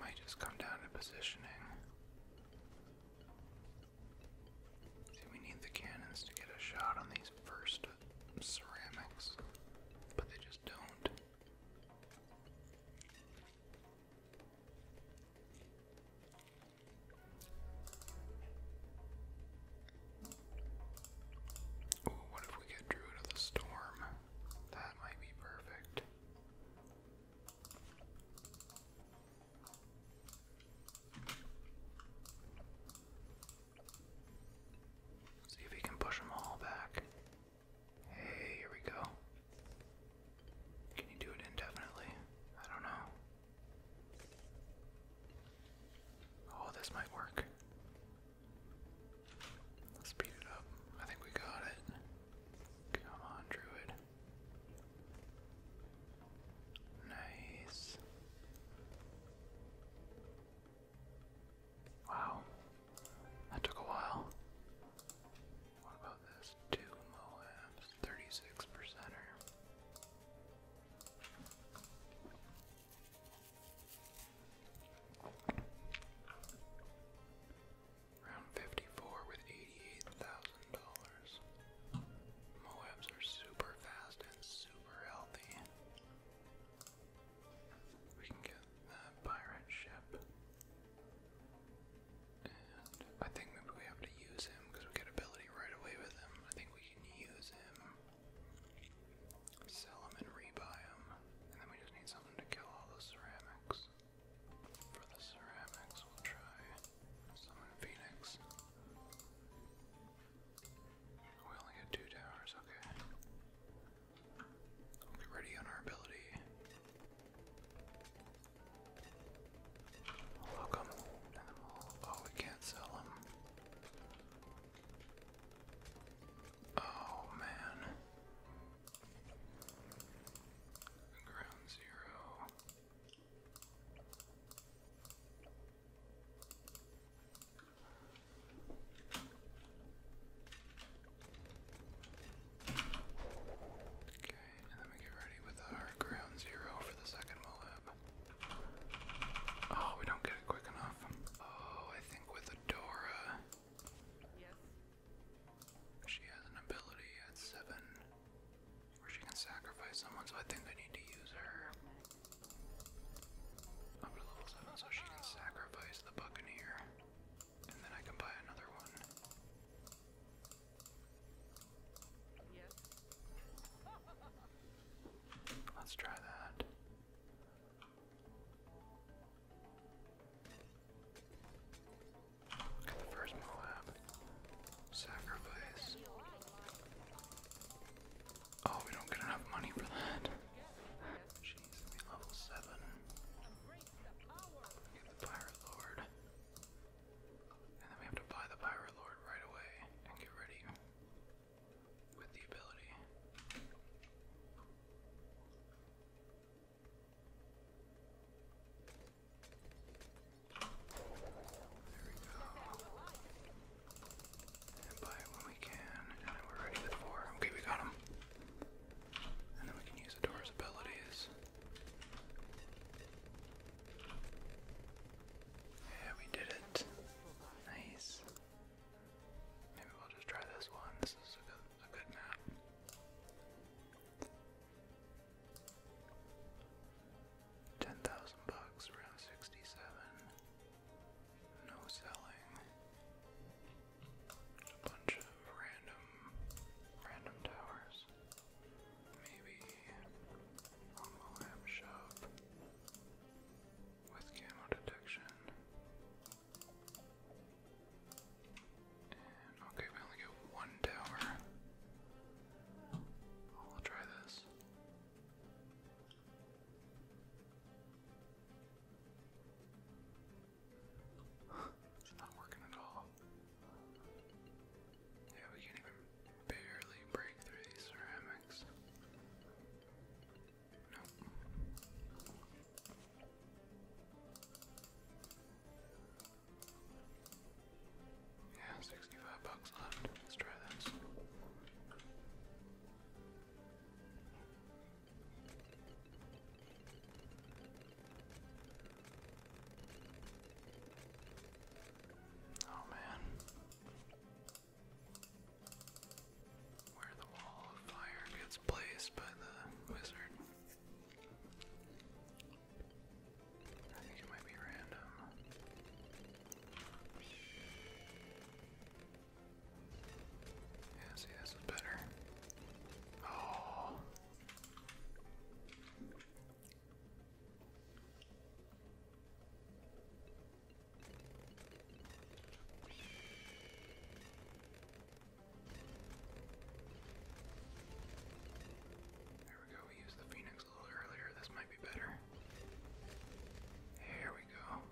might just come down to positioning. See, we need the cannons to get a shot on these first ceramics, but they just don't. Ooh, what if we get Druid of the Storm? That might be perfect. See if we can push them all back. Hey, here we go. Can you do it indefinitely? I don't know. Oh, this might work. Let's speed it up. I think we got it. Come on, Druid. Nice. Wow. That took a while. What about this? Two Moabs, 36 percenter. Round 54 with $88,000. Moabs are super fast and super healthy. We can get the pirate ship. I think maybe we have to use him because we get ability right away with him. I think we can use him, sell him, and rebuy him. And then we just need something to kill all the ceramics. For the ceramics, we'll try summon Phoenix. We only had two towers, okay. get ready on our ability. we oh, we can't sell them. Oh, man. Ground zero. Okay, and then we get ready with our ground zero for the second Moab. Oh, we don't get it quick enough. Oh, I think with Adora. She has an ability at seven where she can sacrifice someone, so I think I need to use her. Up to level 7 so she can sacrifice the Buccaneer. And then I can buy another one. Let's try that. first Moab. Sacrifice. Oh, we don't get enough money for that. She needs to be level 7. Get the Pirate Lord. And then we have to buy the Pirate Lord right away and get ready with the ability. There we go buy when we can, and we're ready with Okay, we got him. And then we can use the door's abilities. Yeah, we did it. Nice. Maybe we'll just try this one. This is a good, map. Ten thousand bucks, round sixty-seven. No selling. A bunch of random, random towers. Maybe a Moab shop with camo detection. okay, we only get one tower. I'll try this. It's not working at all. Yeah, we can even barely break through these ceramics. Nope. Yeah, 65 bucks left. Let's try this. Oh man. Where the wall of fire gets placed by the wizard. I think it might be random. Yeah, see, this is better. Oh. There we go, we used the Phoenix a little earlier. This might be better. Here we go.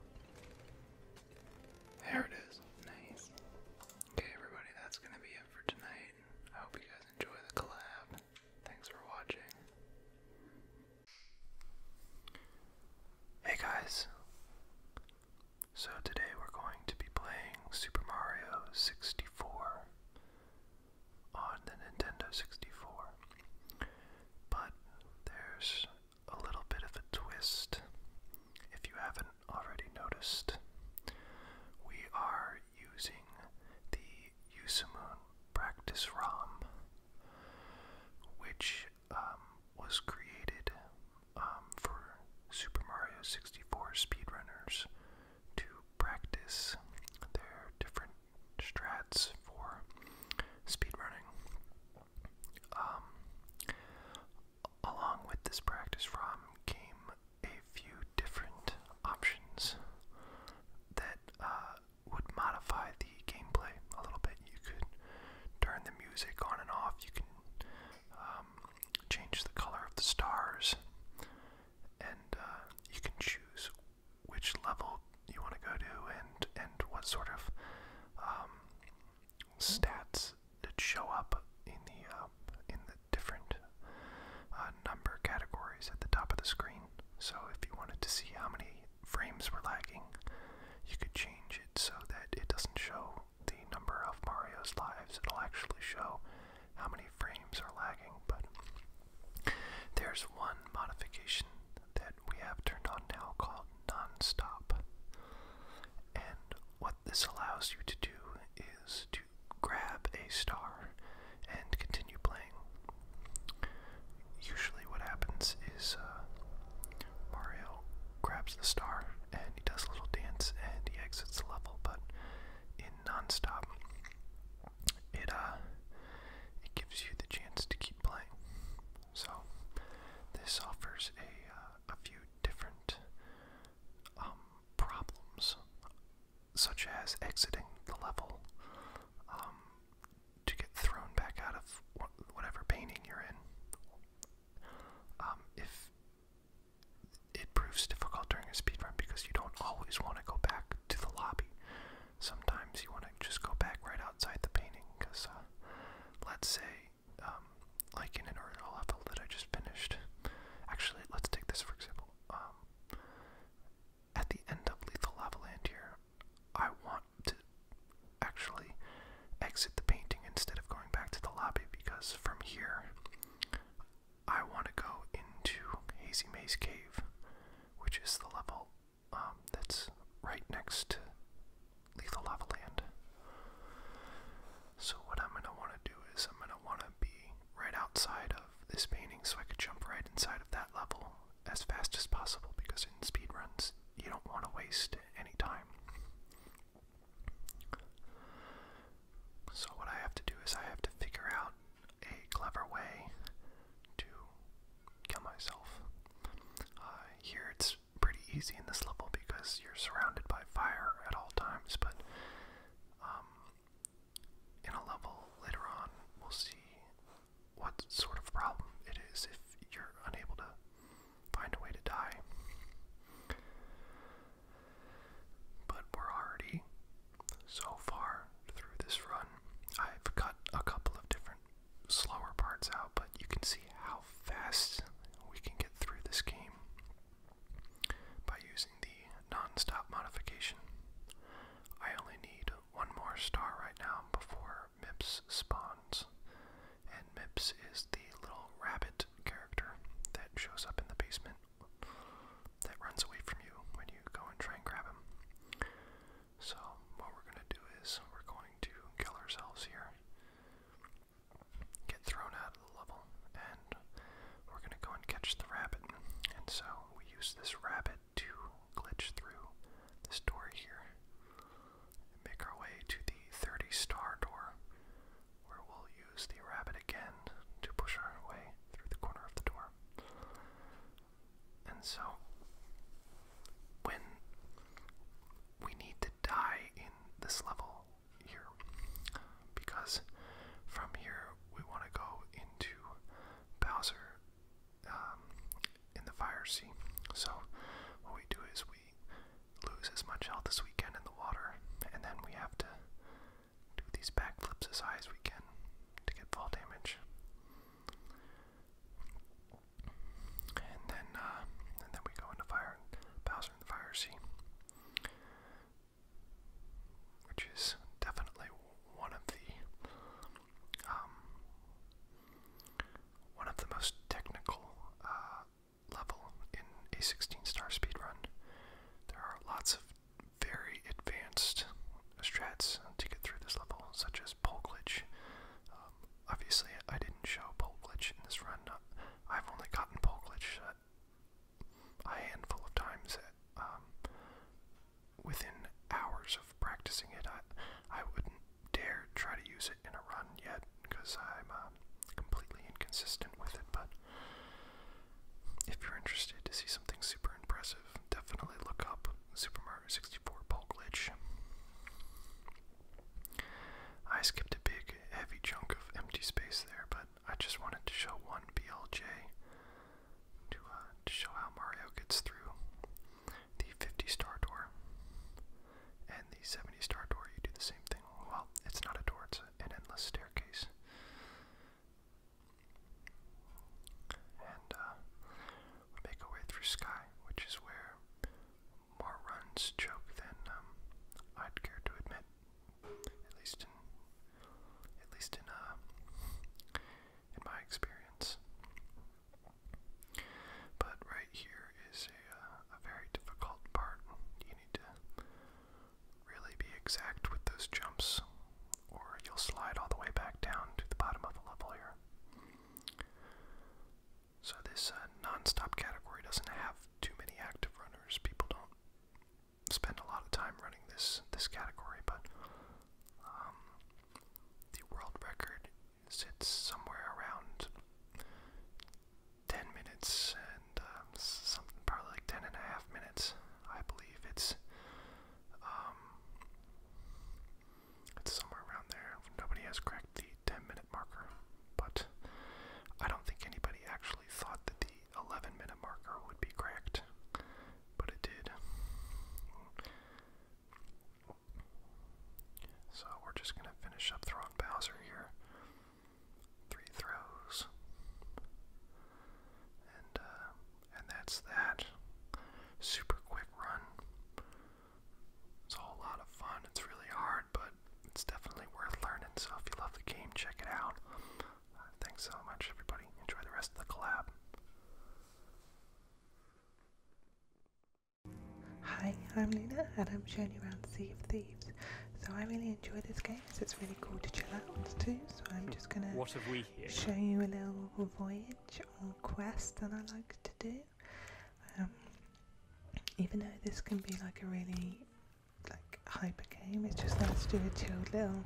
There it is. Okay, everybody, that's going to be it for tonight. I hope you guys enjoy the collab. Thanks for watching. Hey guys. So today we're going to be playing Super Mario 64 on the Nintendo 64. But there's a little bit of a twist. If you haven't already noticed, we are using the Yusumun practice ROM, which um, was created um, for Super Mario 64 speedrunners to practice their different strats for speedrunning. Um, along with this practice ROM came a few different options that uh, would modify the gameplay a little bit. You could turn the music on and off, you can um, change the color of the stars, and uh, you can choose which level you want to go to and, and what sort of um, stats that show up in the um, in the different uh, number categories at the top of the screen. So if you wanted to see how many frames were lagging, you could change it so that it doesn't show the number of Mario's lives. It'll actually show how many frames are lagging. But there's one modification that that we have turned on now called Nonstop. And what this allows you to do is to grab a star and continue playing. Usually, what happens is uh, Mario grabs the star and he does a little dance and he exits the level, but in Nonstop, it, uh, it gives you the chance to keep playing. So this offers a, uh, a few different um, problems, such as exiting the level um, to get thrown back out of whatever painting you're in. Um, if it proves difficult during a speedrun because you don't always want to go back to the lobby. Sometimes you want to just go back right outside the painting because, uh, let's say um, like in an earlier level that I just finished. Actually, let's take this for example. Um, at the end of Lethal Avalanche*, here, I want to actually exit the painting instead of going back to the lobby because from here I want to go into Hazy Maze Cave, which is the level um, that's right next Lethal Lava So what I'm gonna wanna do is I'm gonna wanna be right outside of this painting so I could jump right inside of that level as fast as possible because in speedruns you don't wanna waste any time. So what I have to do is I have to figure out a clever way to kill myself. Uh, here it's pretty easy in this level because you're surrounded by fire at all times, but um, in a level later on, we'll see what sort of problem it is if you're unable to find a way to die. But we're already so far through this run. I've cut a couple of different slower parts out, but you can see how fast we can get through this game by using the non-stop modification. I only need one more star right now before Mips spawns, and Mips is the little rabbit character that shows up in the basement that runs away from you when you go and try and grab him. So what we're going to do is we're going to kill ourselves here get thrown out of the level, and we're gonna go and catch the rabbit. And so we use this rabbit to glitch through this door here and make our way to the 30 star door, where we'll use the rabbit again to push our way through the corner of the door. And so, when we need to die in this level here because from here we want to go into Bowser um, in the fire sea. So what we do is we lose as much health as we can in the water, and then we have to do these backflips as high as we can to get fall damage. And then, uh, and then we go into Fire Bowser and the Fire Sea, which is definitely one of the, um, one of the most technical uh, level in a 16-star speed run. There are lots of very advanced strats to get through this level, such as pole glitch. Um, obviously, I didn't show pole glitch in this run. Uh, I've only gotten pole glitch a, a handful of times. Um, within hours of practicing it, I, I wouldn't dare try to use it in a run yet because I'm uh, completely inconsistent with it. But if you're interested to see something super impressive, definitely look up Super Mario 64 pole glitch. I skipped a big, heavy chunk of empty space there, but I just wanted to show one BLJ uh, to, show how Mario gets through the 50 star door and the 70 star door. You do the same thing. Well, it's not a door, it's an endless staircase. And uh, make our way through Sky, which is where more runs choke than um, I'd care to admit. At least at least in uh, in my experience. But right here is a uh, a very difficult part. You need to really be exact with those jumps, or you'll slide all the way back down to the bottom of the level here. So this uh, non-stop category doesn't have too many active runners. People don't spend a lot of time running this this category, but um, the world record sits somewhere around 10 minutes and um, something probably like 10 and a half minutes. I believe it's um, it's somewhere around there. Nobody has cracked the 10 marker, but I don't think anybody actually thought that the 11 minute marker would be cracked, but it did. So we're just going to finish up throwing Bowser here. Three throws. And uh, and that's that. Super quick run. It's a whole lot of fun. It's really hard, but it's definitely worth learning. So if you love the game, check it out. Uh, thanks so much, everybody. Enjoy the rest of the collab. Hi, I'm Lena and I'm showing you around Sea of Thieves. So I really enjoy this game so it's really cool to chill out too. So I'm just gonna show you a little voyage or quest that I like to do. Um, even though this can be like a really like hyper game. It's just nice to do a little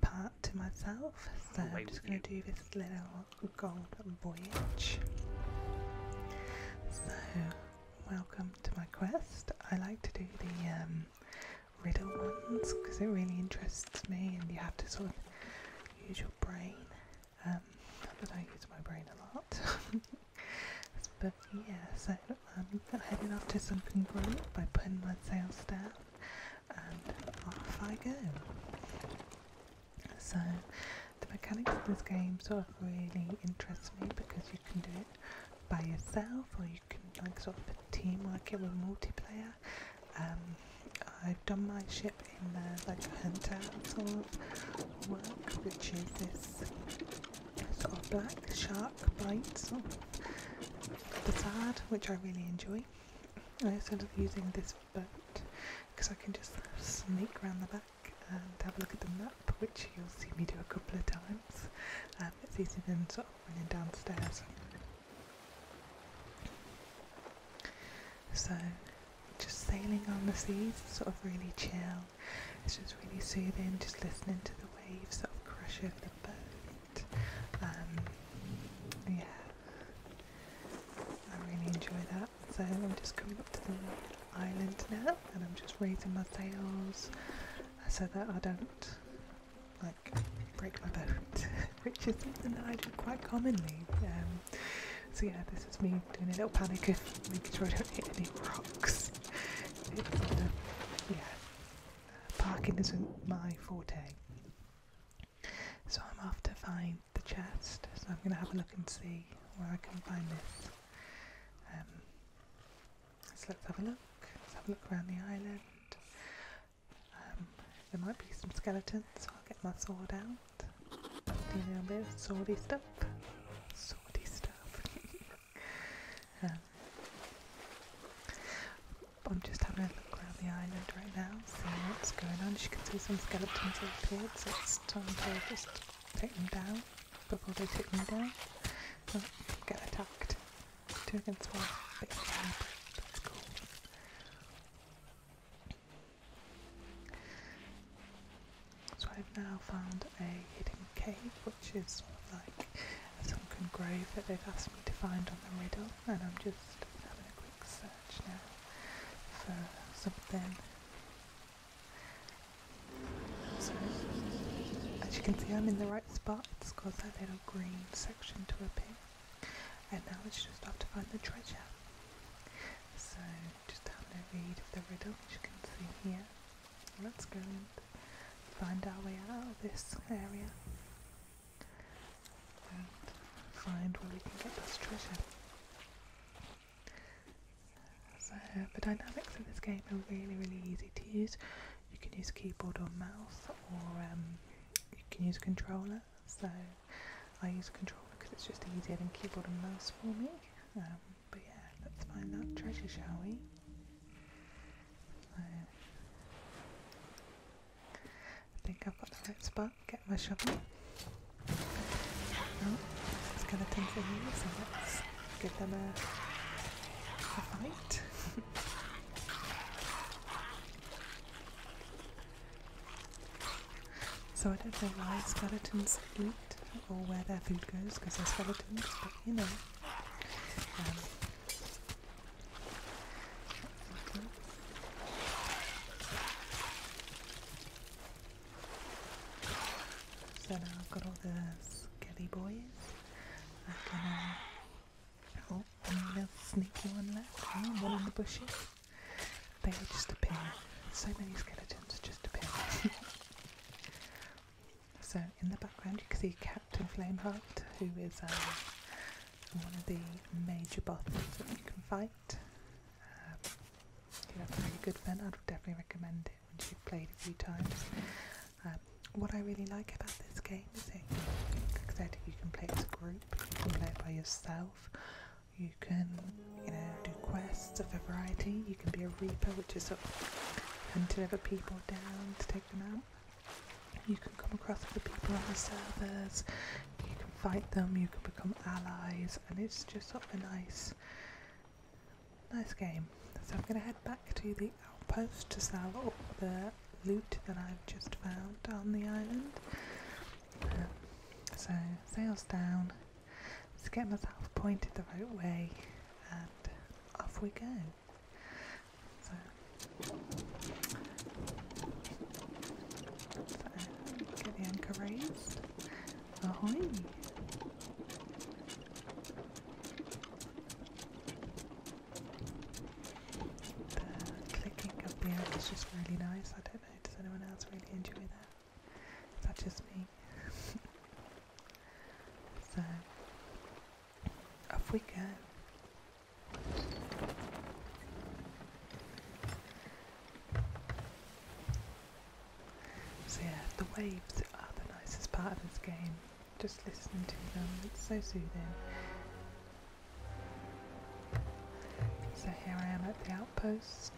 part to myself. So I'm just going to do this little gold voyage. So welcome to my quest. I like to do the um, riddle ones because it really interests me, and you have to sort of use your brain. Um, not that I use my brain a lot. But yeah, so I'm um, heading off to something great by putting my sails down, and off I go. So the mechanics of this game sort of really interests me because you can do it by yourself or you can like sort of a teamwork it with multiplayer. Um, I've done my ship in the like hunter sort of work, which is this it sort of black shark bites on the side, which I really enjoy. I also end up using this boat because I can just sneak around the back and have a look at the map, which you'll see me do a couple of times. Um, it's easier than sort of running downstairs. So, just sailing on the seas, sort of really chill, it's just really soothing, just listening to the waves sort of crush over the boat. Um, yeah, I really enjoy that. So I'm just coming up to the island now, and I'm just raising my sails so that I don't like break my boat, which is something that I do quite commonly. Um, so yeah, this is me doing a little panic of making sure I don't hit any rocks. yeah, parking isn't my forte. So I'm off to find the chest, so I'm going to have a look and see where I can find this. Um, so let's have a look, let's have a look around the island. Um, there might be some skeletons, so I'll get my sword out. Do a little bit of swordy stuff. Swordy stuff. I'm just having a look around the island right now, seeing what's going on. She can see, some skeletons have appeared, so it's time to just take them down before they take me down. Oh, get attacked. Two against one. Bit That's cool. So I've now found a hidden cave, which is sort of like a sunken grave that they've asked me to find on the riddle, and I'm just having a quick search now for something. as you can see, I'm in the right spot. It's got that little green section to appear, and now it's just have to find the treasure. So, just having a read of the riddle, which you can see here. Let's go and find our way out of this area and find where we can get this treasure. So the dynamics of this game are really, really easy to use. You can use keyboard or mouse, or um, you can use a controller. So I use a controller because it's just easier than keyboard and mouse for me. Um, but yeah, let's find that treasure, shall we? I think I've got the right spot. Get my shovel. Oh, skeletons are here, so let's give them a, a fight. so I don't know why skeletons eat or where their food goes because they're skeletons, you know. Um, so now I've got all the skelly boys. I can, uh, oh, one sneaky one left. Oh, one in the bushes. They just appear. So many skeletons just appear. So in the background you can see Captain Flameheart, who is um, one of the major bosses that you can fight. Um, a really good fun. I'd definitely recommend it when you've played a few times. Um, what I really like about this game is it, I said, you can play as a group, you can play it by yourself, you can, you know, do quests of a variety, you can be a reaper, which is sort of hunting other people down to take them out. You can come across other people on the servers. You can fight them. You can become allies, and it's just sort of a nice, nice game. So I'm going to head back to the outpost to sell all the loot that I've just found on the island. Um, so sails down, let's get myself pointed the right way, off we go. So, get the anchor raised. Ahoy! The clicking of the air is just really nice. I don't know, does anyone else really enjoy that? Is that just me? So off we go. So yeah, the waves are the nicest part of this game. Just listening to them, it's so soothing. So here I am at the outpost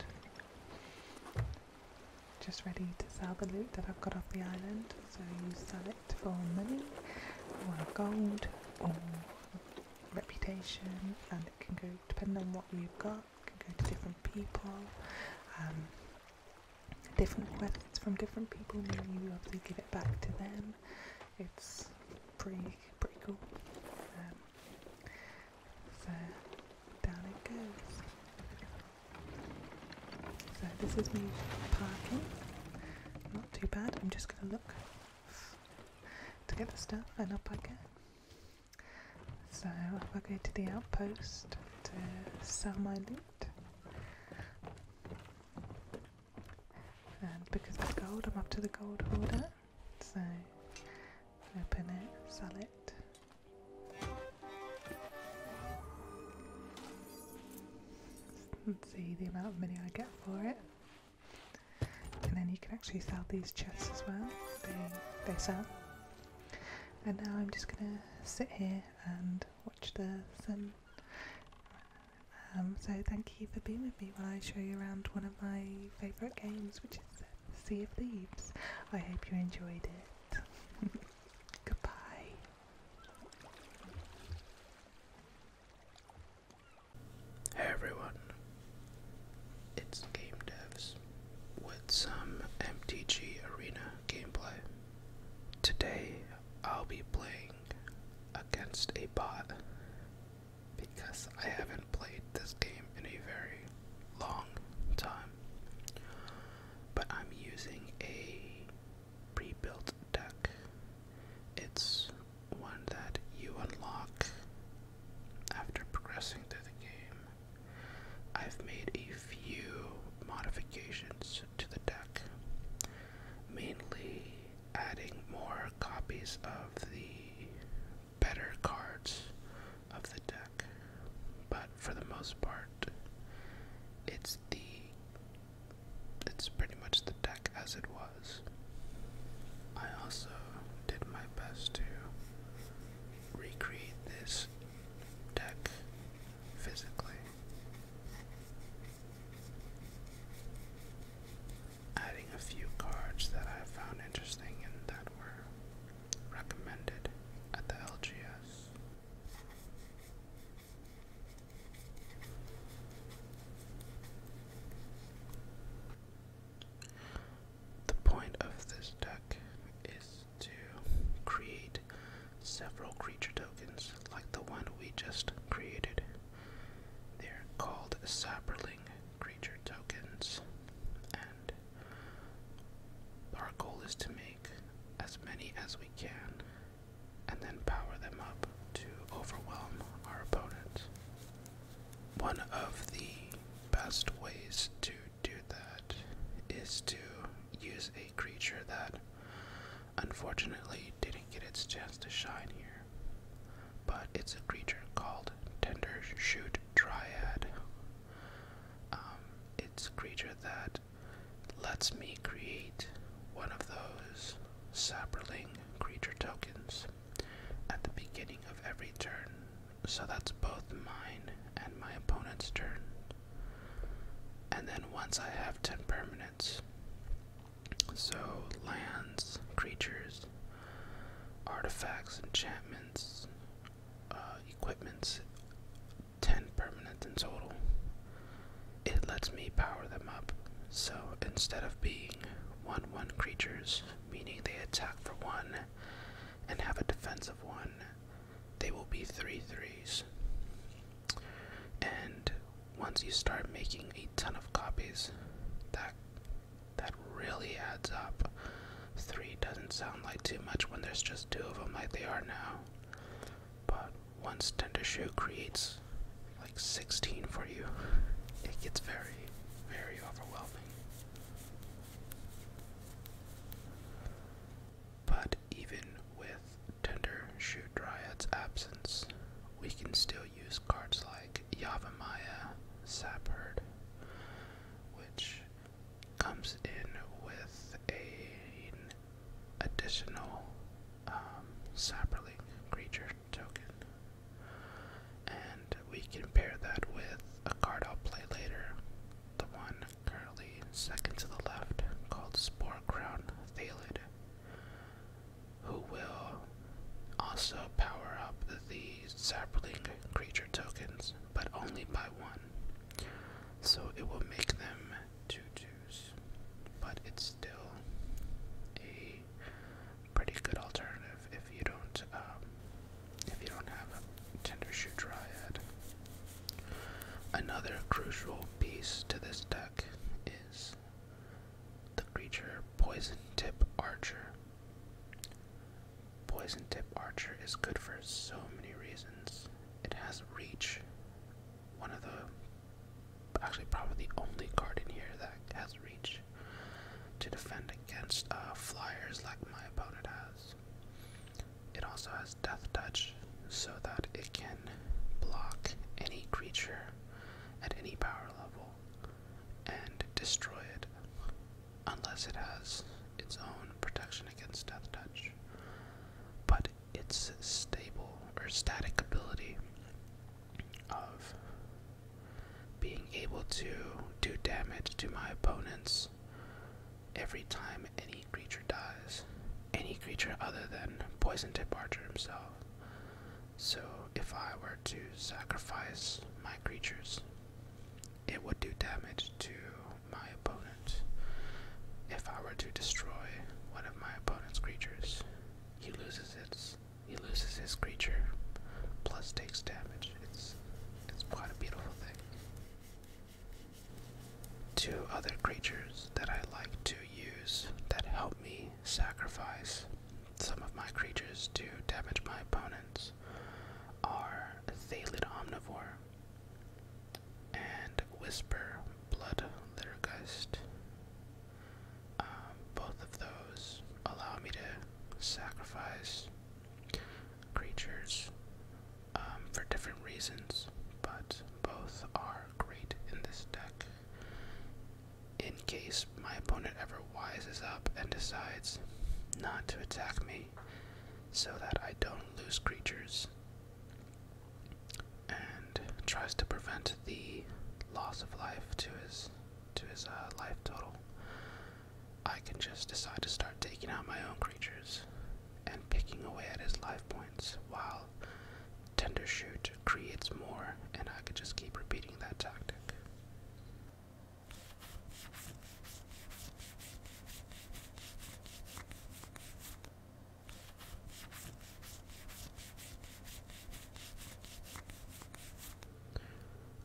just ready to sell the loot that I've got off the island. So you sell it for money, or gold, or reputation, and it can go Depend on what you've got. can go to different people. Um, different quests from different people, and you to give it back to them. It's pretty pretty cool. Um, so down it goes. So this is me parking. Not too bad. I'm just gonna look to get the stuff and up I So if I go to the outpost to sell my loot. And because it's gold, I'm up to the gold hoarder. So open it, sell it. Let's see the amount of money I get for it. And then you can actually sell these chests as well. They, they sell. And now I'm just gonna sit here and watch the sun. Um, so thank you for being with me while I show you around one of my favourite games, which is Sea of Thieves. I hope you enjoyed it. Goodbye. Hey everyone, it's Game Devs with some MTG Arena gameplay. Today I'll be playing against a bot because I haven't played this game in a very long time. But I'm using a pre-built deck. It's one that you unlock after progressing through the game. I've made a few modifications to the deck, mainly adding more copies of the better cards of the deck, but for the most part, it's it's the it's pretty much the deck as it was. I also did my best to recreate this deck physically. Adding a few cards that I found interesting and that were recommended at the LGS. The point of this deck is to create several creature tokens like the one we just created. They're called Sapperling creature tokens, and our goal is to make as many as we can and then power them up to overwhelm our opponent. One of the best ways to do that is to use a creature that unfortunately didn't get its chance to shine here, but it's a creature called Tender Shoot Triad. Um, it's a creature that Let's me create one of those sapling creature tokens at the beginning of every turn, so that's both mine and my opponent's turn. And then once I have 10 permanents, so lands, creatures, artifacts, enchantments, uh, equipments, 10 permanent in total. It lets me power them up, so instead of being 1 1 creatures, meaning they attack for 1 and have a defense of 1, they will be three threes. And once you start making a ton of copies, that that really adds up. Three doesn't sound like too much when there's just two of them like they are now. But once Tender Shoe creates like 16 for you, it gets very, very overwhelming. But even with Tender Shoe Dryad's absence, we can still use cards like Yavamaya Sapherd, which comes in with a, additional um, creature token. And we can pair that with a card I'll play later, the one currently second to the left called Spore Crown Thalid, who will also power up the Cyberlink creature tokens, but only by one. So it will make them 2 2 but it's still a pretty good alternative if you don't um, if you don't have a tender shoe triad. Another crucial piece to this deck is the creature Poison Tip Archer. Poison Tip Archer is good for so many reasons. It has reach, one of the actually probably the only card in here that has reach to defend against uh, flyers like my opponent has. It also has Death Touch so that it can block any creature at any power level and destroy it unless it has its own protection against Death Touch. But its stable or static ability of being able to do damage to my opponents every time any creature dies. Any creature other than Poison Tip Archer himself. So if I were to sacrifice my creatures, it would do damage to my opponent. If I were to destroy one of my opponent's creatures. He loses its he loses his creature, plus takes damage. It's it's quite a beautiful thing. Two other creatures that I like to use that help me sacrifice some of my creatures to damage my opponents are Thalid Omnivore and Whisper Blood Littergust. Um, both of those allow me to sacrifice creatures um, for different reasons, but both are great in this deck. In case my opponent ever wises up and decides not to attack me so that I don't lose creatures, and tries to prevent the loss of life to his to his uh, life total. I can just decide to start taking out my own creatures and picking away at his life points while tender shoot creates more and I could just keep repeating that tactic.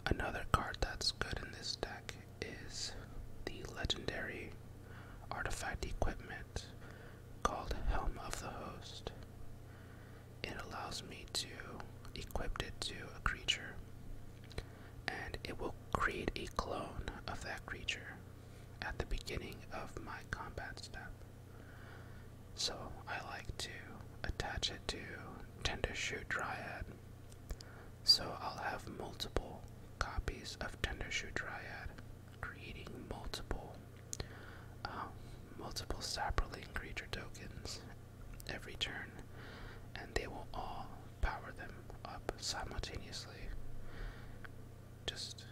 Another card that's good in this deck is the legendary artifact equipment called Helm of the Host. It allows me to equip it to a creature, and it will create a clone of that creature at the beginning of my combat step. So I like to attach it to Tender Shoe Dryad. So I'll have multiple copies of Tender Shoe Dryad, creating multiple, uh, multiple Sapperling creature tokens every turn, and they will all power them up simultaneously just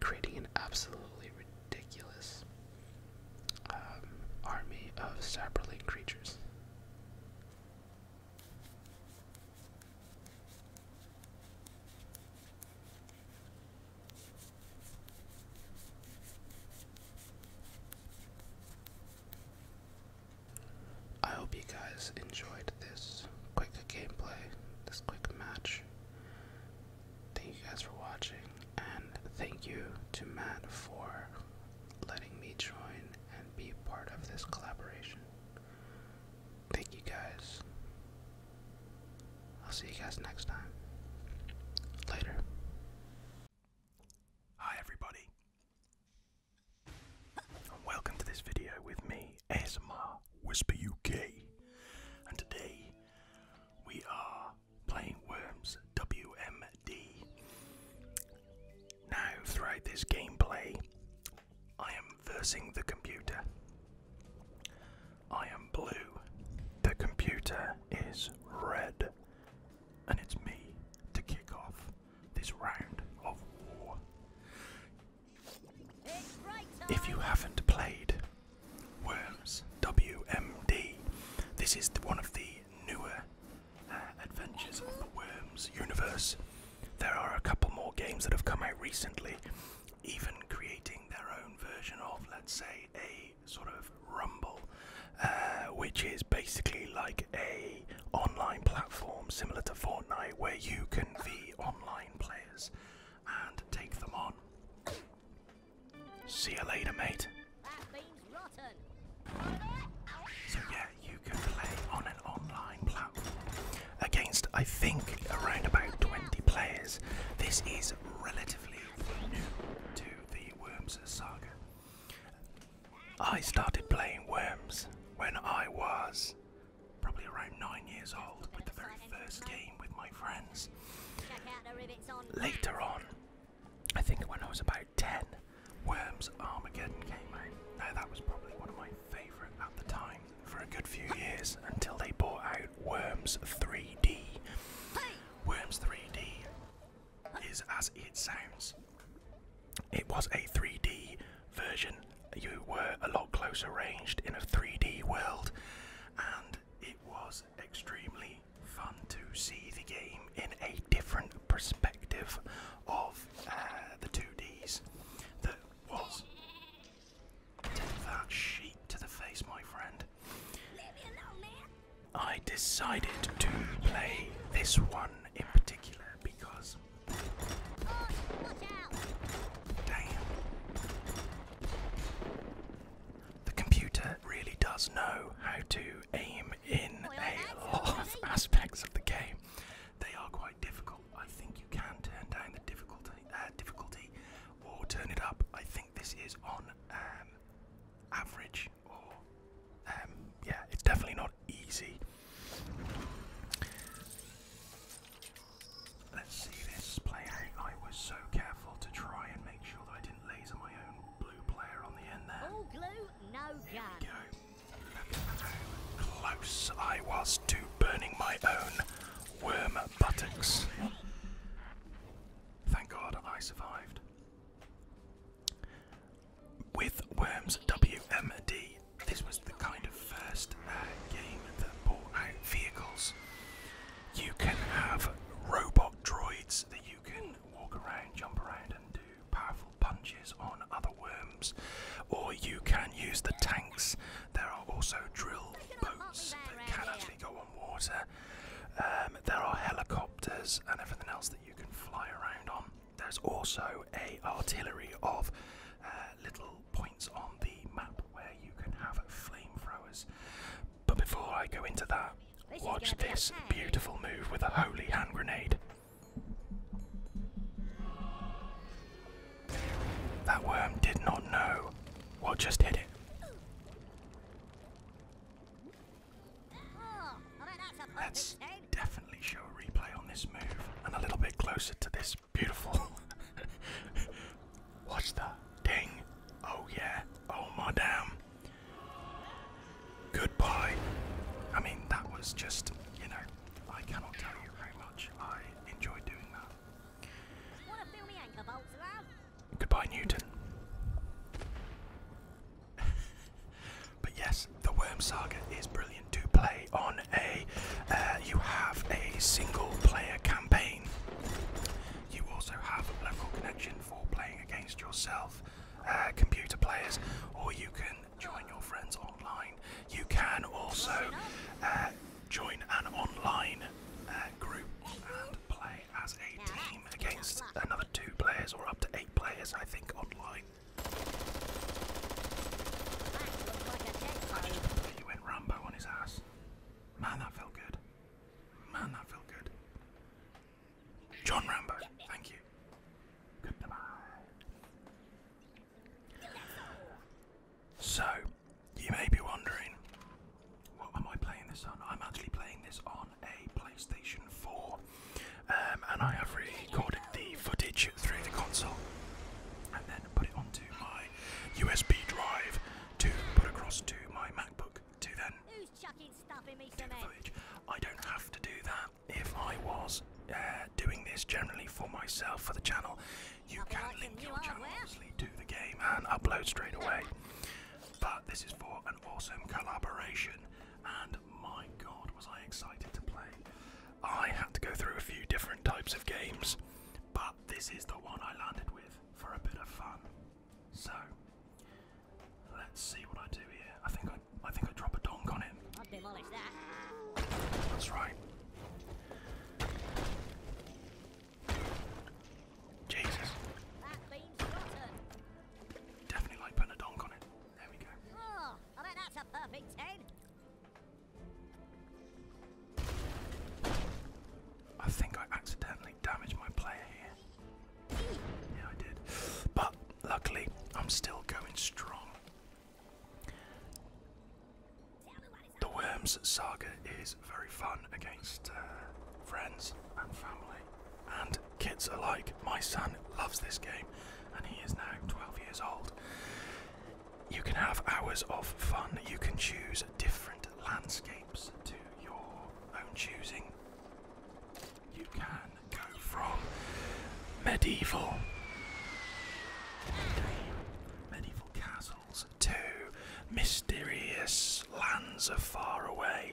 creating an absolutely ridiculous um, army of cyberlink creatures. I hope you guys enjoyed this quick gameplay, this quick match. Thank you guys for watching, and thank you to Matt for letting me join and be part of this collaboration. Thank you guys. I'll see you guys next time. Later. Hi, everybody. welcome to this video with me, ASMR Whisper UK. And today we are playing Worms WMD. Now, throughout this gameplay, I am versing the computer. I am blue, the computer is red, and it's me to kick off this round of war. If you haven't played Worms WMD. This is one of the newer uh, adventures of the Worms universe. There are a couple more games that have come out recently, even creating their own version of, let's say, a sort of rumble, uh, which is basically like a online platform similar to Fortnite, where you can v online players and take them on. See you later, mate. So yeah, you can play on an online platform against I think around about 20 players. This is relatively new to the Worms saga. I started playing Worms when I was probably around 9 years old with the very first game with my friends. Later on, I think when I was about 10, Worms Armageddon came out. Now, that was probably one of my favourite at the time for a good few years until they bought out Worms 3D. Worms 3D is as it sounds. It was a 3D version. You were a lot closer ranged in a 3D world, and it was extremely fun to see the game in a different perspective of uh, the 2Ds that was. Take that sheet to the face, my friend. I decided to play this one in particular because. Damn. The computer really does know how to aim in a lot of aspects of the game. They are quite difficult. I think you can turn down the difficulty, uh, difficulty, or turn it up. I think this is on um, average, or um, yeah, it's definitely not easy. Let's see this play I was so careful to try and make sure that I didn't laser my own blue player on the end there. All glue, no Here go. Look at how close I was to burning my own worm buttocks. Thank God I survived. With Worms WMD, this was the kind of first uh, game that brought out vehicles. You can have robot droids that you can walk around, jump around, and do powerful punches on other worms, or you can use the tanks. There are also drill boats that can actually go on water. Um, there are helicopters and everything else that you can fly around on. There's also a artillery of uh, little points on the map where you can have flamethrowers. But before I go into that, watch this beautiful move with a holy hand grenade. That worm did not know what just hit it. Let's definitely show a replay on this move and a little bit closer to this beautiful What's that ding? Oh yeah. Oh my damn. Goodbye. I mean, that was just, you know, I cannot tell you how much I enjoyed doing that. Goodbye, Newton. but yes, the Worm Saga is brilliant to play on a. Uh, you have a single player campaign you also have local connection for playing against yourself, uh, computer players, or you can join your friends online. You can also uh, join an online uh, group and play as a team against another two players or up to eight players, I think, online. I went Rambo on his ass. Man, that felt good. Man, that felt good. John Rambo, thank you. Goodbye. So, you may be wondering, what am I playing this on? I'm actually playing this on a PlayStation 4, um, and I have recorded the footage through the console and then put it onto my USB drive to put across to my MacBook to then I don't have to do that if I was uh, doing this generally for myself for the channel. You can link your channel obviously to the game and upload straight away. but this is for an awesome collaboration, and my god, was I excited to play! I had to go through a few different types of games, but this is the one I landed with for a bit of fun. So let's see what I do here. I think I I think I drop a donk on him. I'll demolish that. That's right. Jesus. That beam's rotten. Definitely like putting a donk on it. There we go. Oh, I bet that's a perfect ten. I think I accidentally damaged my player here. Yeah, I did. But luckily, I'm still going strong. The Worms Saga is very fun against uh, friends and family and kids alike. My son loves this game and he is now 12 years old. You can have hours of fun. You can choose different landscapes to your own choosing. You can go from medieval medieval castles to mysterious lands of far away.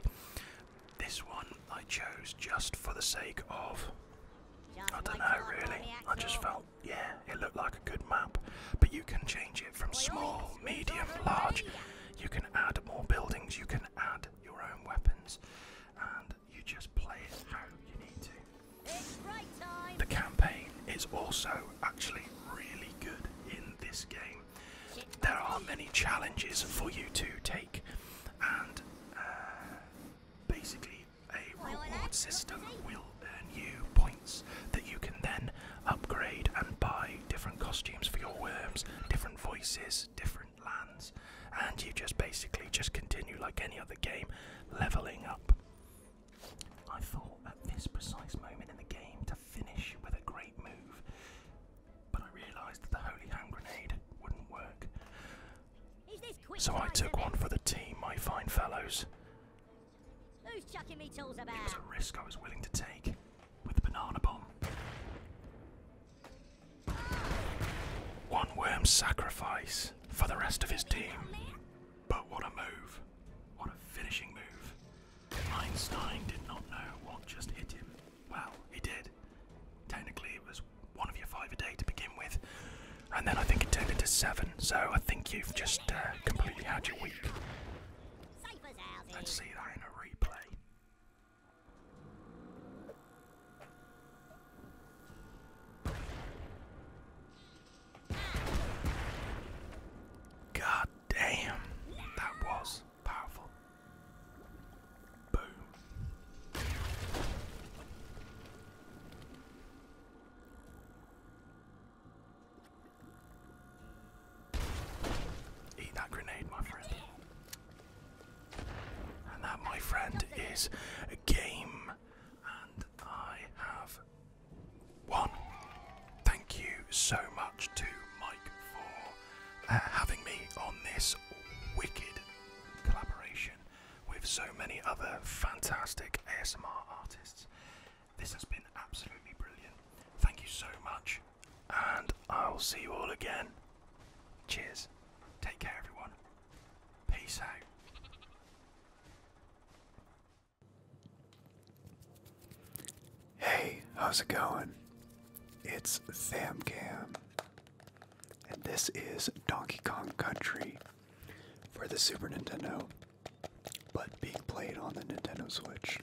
This one I chose just for the sake of I don't know really. I just felt yeah, it looked like a good map. But you can change it from small, medium, large you can add more buildings, you can add your own weapons, and you just play it how you need to. The campaign is also actually really good in this game. There are many challenges for you to take, and uh, basically, a reward system will earn you points that you can then upgrade and buy different costumes for your worms, different voices, different lands, and you just basically just continue like any other game, leveling up. I thought at this precise moment in the game to finish with a great move, but I realised that the Holy Hand Grenade wouldn't work. So I took one for the team, my fine fellows. Who's It was a risk I was willing to take with the banana bomb. One worm sacrifice for the rest of his team. But what a move. What a finishing move. Einstein did not know what just hit him. Well, he did. Technically, it was one of your five a day to begin with. And then I think it turned into seven, so I think you've just uh, completely had your week. Let's see that in a replay. God damn, that was powerful. Boom. Eat that grenade, my friend. And that, my friend, is a game. And I have won. Thank you so much to Mike for uh, having me on this wicked collaboration with so many other fantastic ASMR artists. This has been absolutely brilliant. Thank you so much and I'll see you all again. Cheers. Take care, everyone. Peace out. Hey, how's it going? It's Thamcam, and this is Donkey Kong Country for the Super Nintendo, but being played on the Nintendo Switch.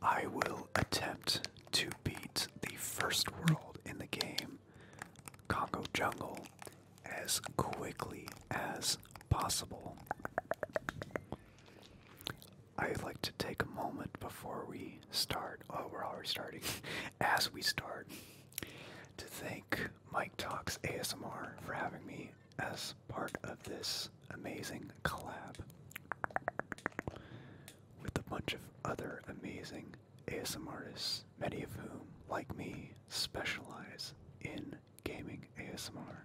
I will attempt to beat the first world in the game, Congo Jungle, as quickly as possible. I'd like to take a moment before we start. Oh, we're already starting. As we start, to thank Mike Talks ASMR for having me as part of this amazing collab with a bunch of other amazing ASMR artists, many of whom, like me, specialize in gaming ASMR.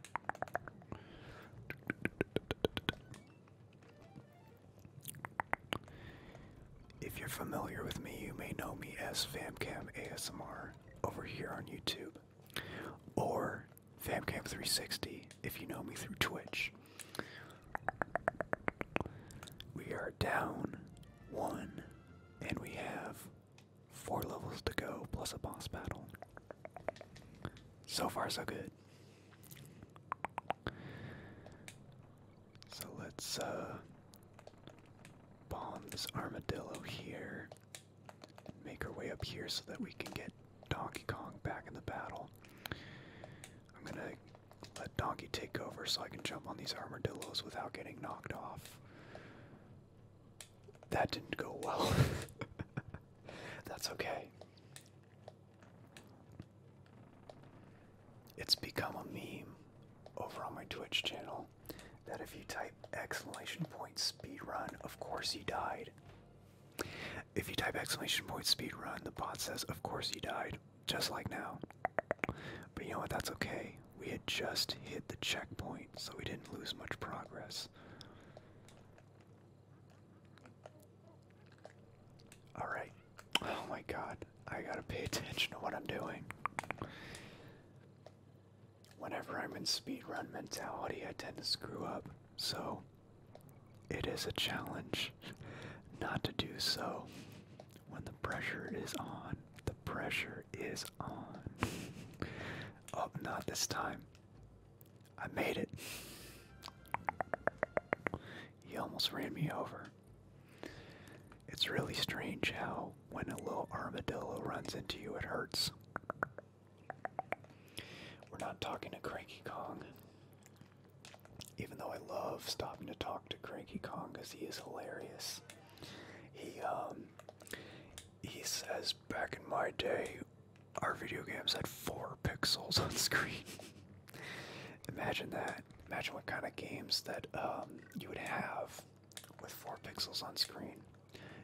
If you're familiar with me, you may know me as FamCam ASMR over here on YouTube. Or FamCam360, if you know me through Twitch. We are down one, and we have four levels to go, plus a boss battle. So far, so good. So let's uh, bomb this armadillo here make our way up here so that we can get Donkey Kong back in the battle. I'm gonna let Donkey take over so I can jump on these armadillos without getting knocked off. That didn't go well. That's okay. It's become a meme over on my Twitch channel that if you type exclamation point speed run, of course he died. If you type exclamation point speed run, the bot says, of course you died, just like now. But you know what, that's okay. We had just hit the checkpoint, so we didn't lose much progress. Alright. Oh my god. I gotta pay attention to what I'm doing. Whenever I'm in speed run mentality, I tend to screw up. So, it is a challenge not to do so when the pressure is on. The pressure is on. oh, not this time. I made it. He almost ran me over. It's really strange how when a little armadillo runs into you, it hurts. We're not talking to Cranky Kong. Even though I love stopping to talk to Cranky Kong because he is hilarious. He um he says back in my day our video games had four pixels on screen. Imagine that. Imagine what kind of games that um, you would have with four pixels on screen.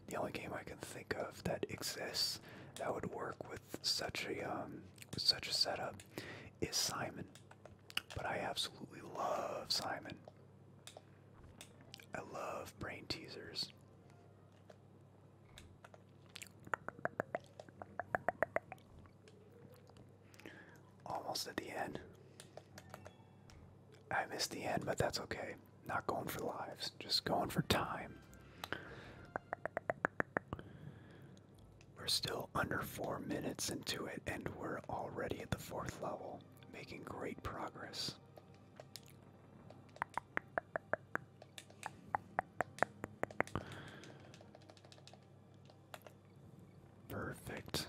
The only game I can think of that exists that would work with such a um, with such a setup is Simon. But I absolutely love Simon. I love brain teasers. Almost at the end. I missed the end, but that's okay. Not going for lives, just going for time. We're still under four minutes into it, and we're already at the fourth level, making great progress. Perfect.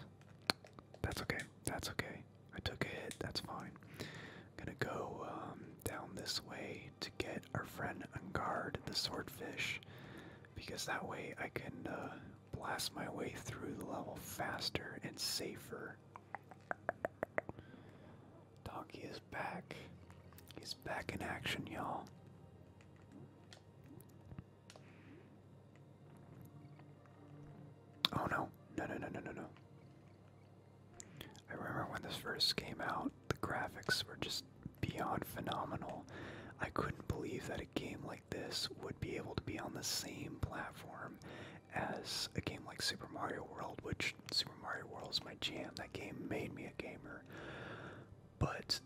That's okay. That's okay. I took a That's fine. gonna go um, down this way to get our friend Ungard the swordfish, because that way I can uh, blast my way through the level faster and safer. Donkey is back. He's back in action, y'all. Oh no, no, no, no, no, no, no. I remember when this first came out. The graphics were just beyond phenomenal. I couldn't believe that a game like this would be able to be on the same platform as a game like Super Mario World, which Super Mario World is my jam. That game made me a gamer. But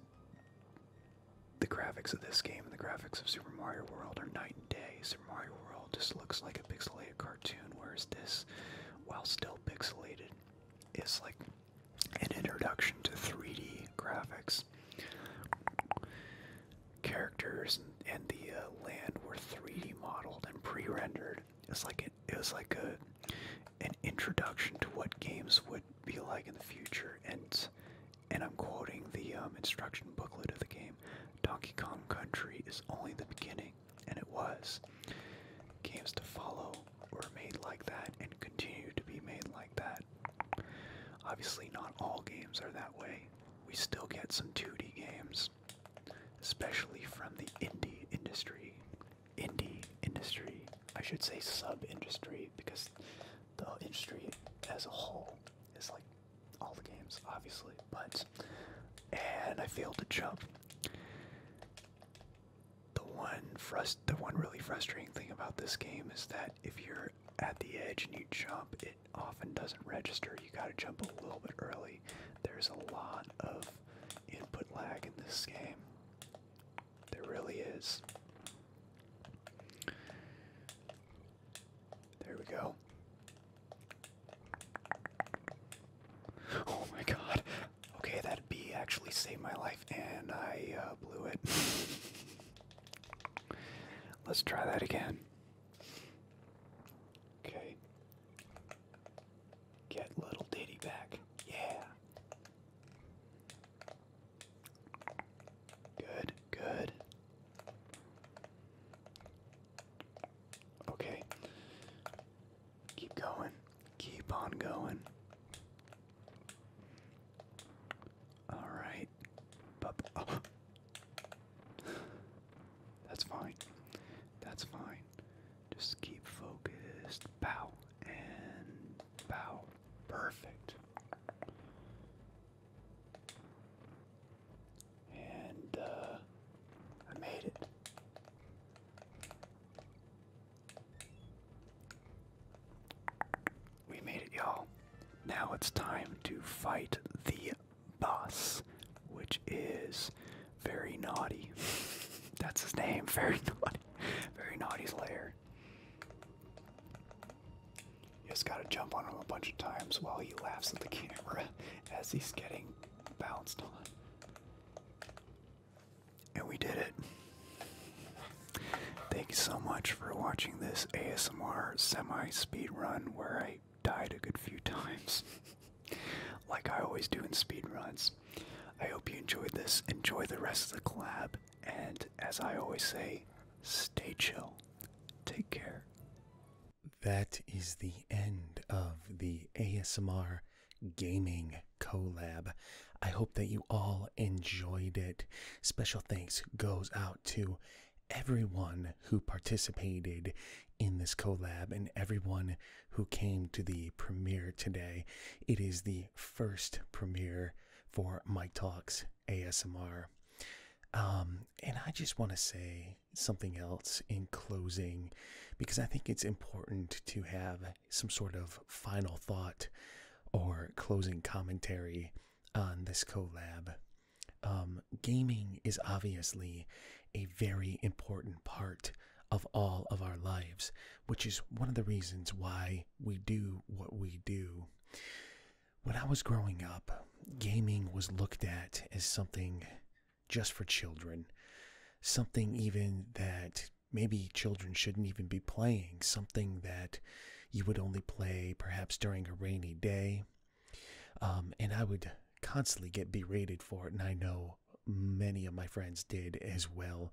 the graphics of this game and the graphics of Super Mario World are night and day. Super Mario World just looks like a pixelated cartoon, whereas this, while still pixelated, is like an introduction to 3D graphics. Characters and, the uh, land were 3D modeled and pre-rendered. It's like it, was like a an introduction to what games would be like in the future. And and I'm quoting the um, instruction booklet of the game: "Donkey Kong Country is only the beginning." And it was. Games to follow were made like that and continue to be made like that. Obviously, not all games are that way. We still get some 2D games, especially from the indie industry. Indie industry, I should say sub industry, because the industry as a whole is like all the games, obviously, but. And I failed to jump the one frust the one really frustrating thing about this game is that if you're at the edge and you jump, it often doesn't register. You gotta jump a little bit early. There's a lot of input lag in this game. There really is. There we go. Oh my god, Okay, that bee actually saved my life, and I uh, blew it. Let's try that again. Okay. Get little Diddy back. Yeah. Good, good. Okay. Keep going. Keep on going. All right. Oh. That's fine. That's fine. Just keep focused. Bow and bow. Perfect. And uh I made it. We made it, y'all. Now it's time to fight the boss, which is Very Naughty. That's his name, Very Naughty. Very naughty Slayer. You just gotta jump on him a bunch of times while he laughs at the camera as he's getting bounced on. And we did it. Thank you so much for watching this ASMR semi speed run where I died a good few times. like I always do in speed runs. I hope you enjoyed this. Enjoy the rest of the collab. And as I always say, stay chill. Take care. That is the end of the ASMR gaming collab. I hope that you all enjoyed it. Special thanks goes out to everyone who participated in this collab and everyone who came to the premiere today. It is the first premiere for Mike Talks ASMR. Um, and I just want to say something else in closing because I think it's important to have some sort of final thought or closing commentary on this collab. Um, gaming is obviously a very important part of all of our lives, which is one of the reasons why we do what we do. When I was growing up, gaming was looked at as something just for children, something even that maybe children shouldn't even be playing something that you would only play perhaps during a rainy day. Um, and I would constantly get berated for it, and I know many of my friends did as well.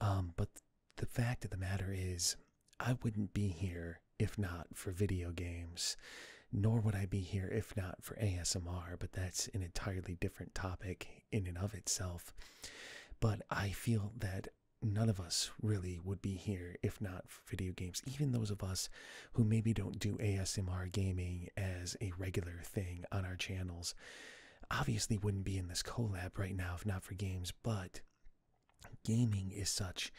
Um, but the fact of the matter is, I wouldn't be here if not for video games, nor would I be here if not for ASMR, but that's an entirely different topic, in and of itself. But I feel that none of us really would be here if not for video games, even those of us who maybe don't do ASMR gaming as a regular thing on our channels. Obviously, wouldn't be in this collab right now if not for games, but gaming is such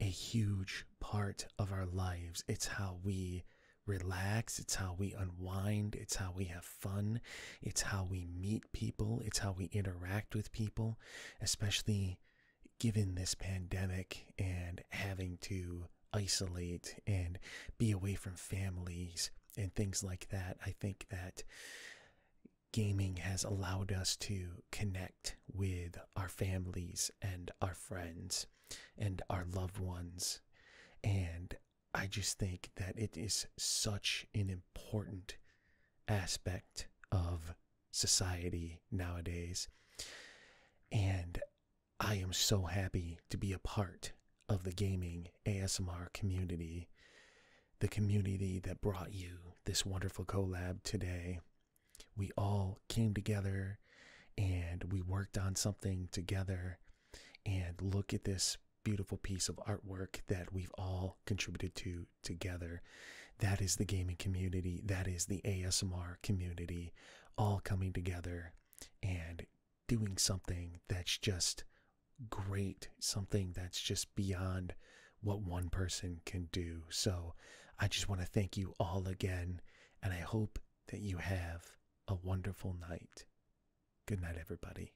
a huge part of our lives. It's how we relax, it's how we unwind, it's how we have fun. It's how we meet people. It's how we interact with people, especially given this pandemic and having to isolate and be away from families and things like that. I think that gaming has allowed us to connect with our families and our friends and our loved ones. And I just think that it is such an important aspect of society nowadays. And I am so happy to be a part of the gaming ASMR community, the community that brought you this wonderful collab today. We all came together and we worked on something together. And look at this beautiful piece of artwork that we've all contributed to together. That is the gaming community, that is the ASMR community, all coming together and doing something that's just great, something that's just beyond what one person can do. So I just want to thank you all again, and I hope that you have a wonderful night. Good night, everybody.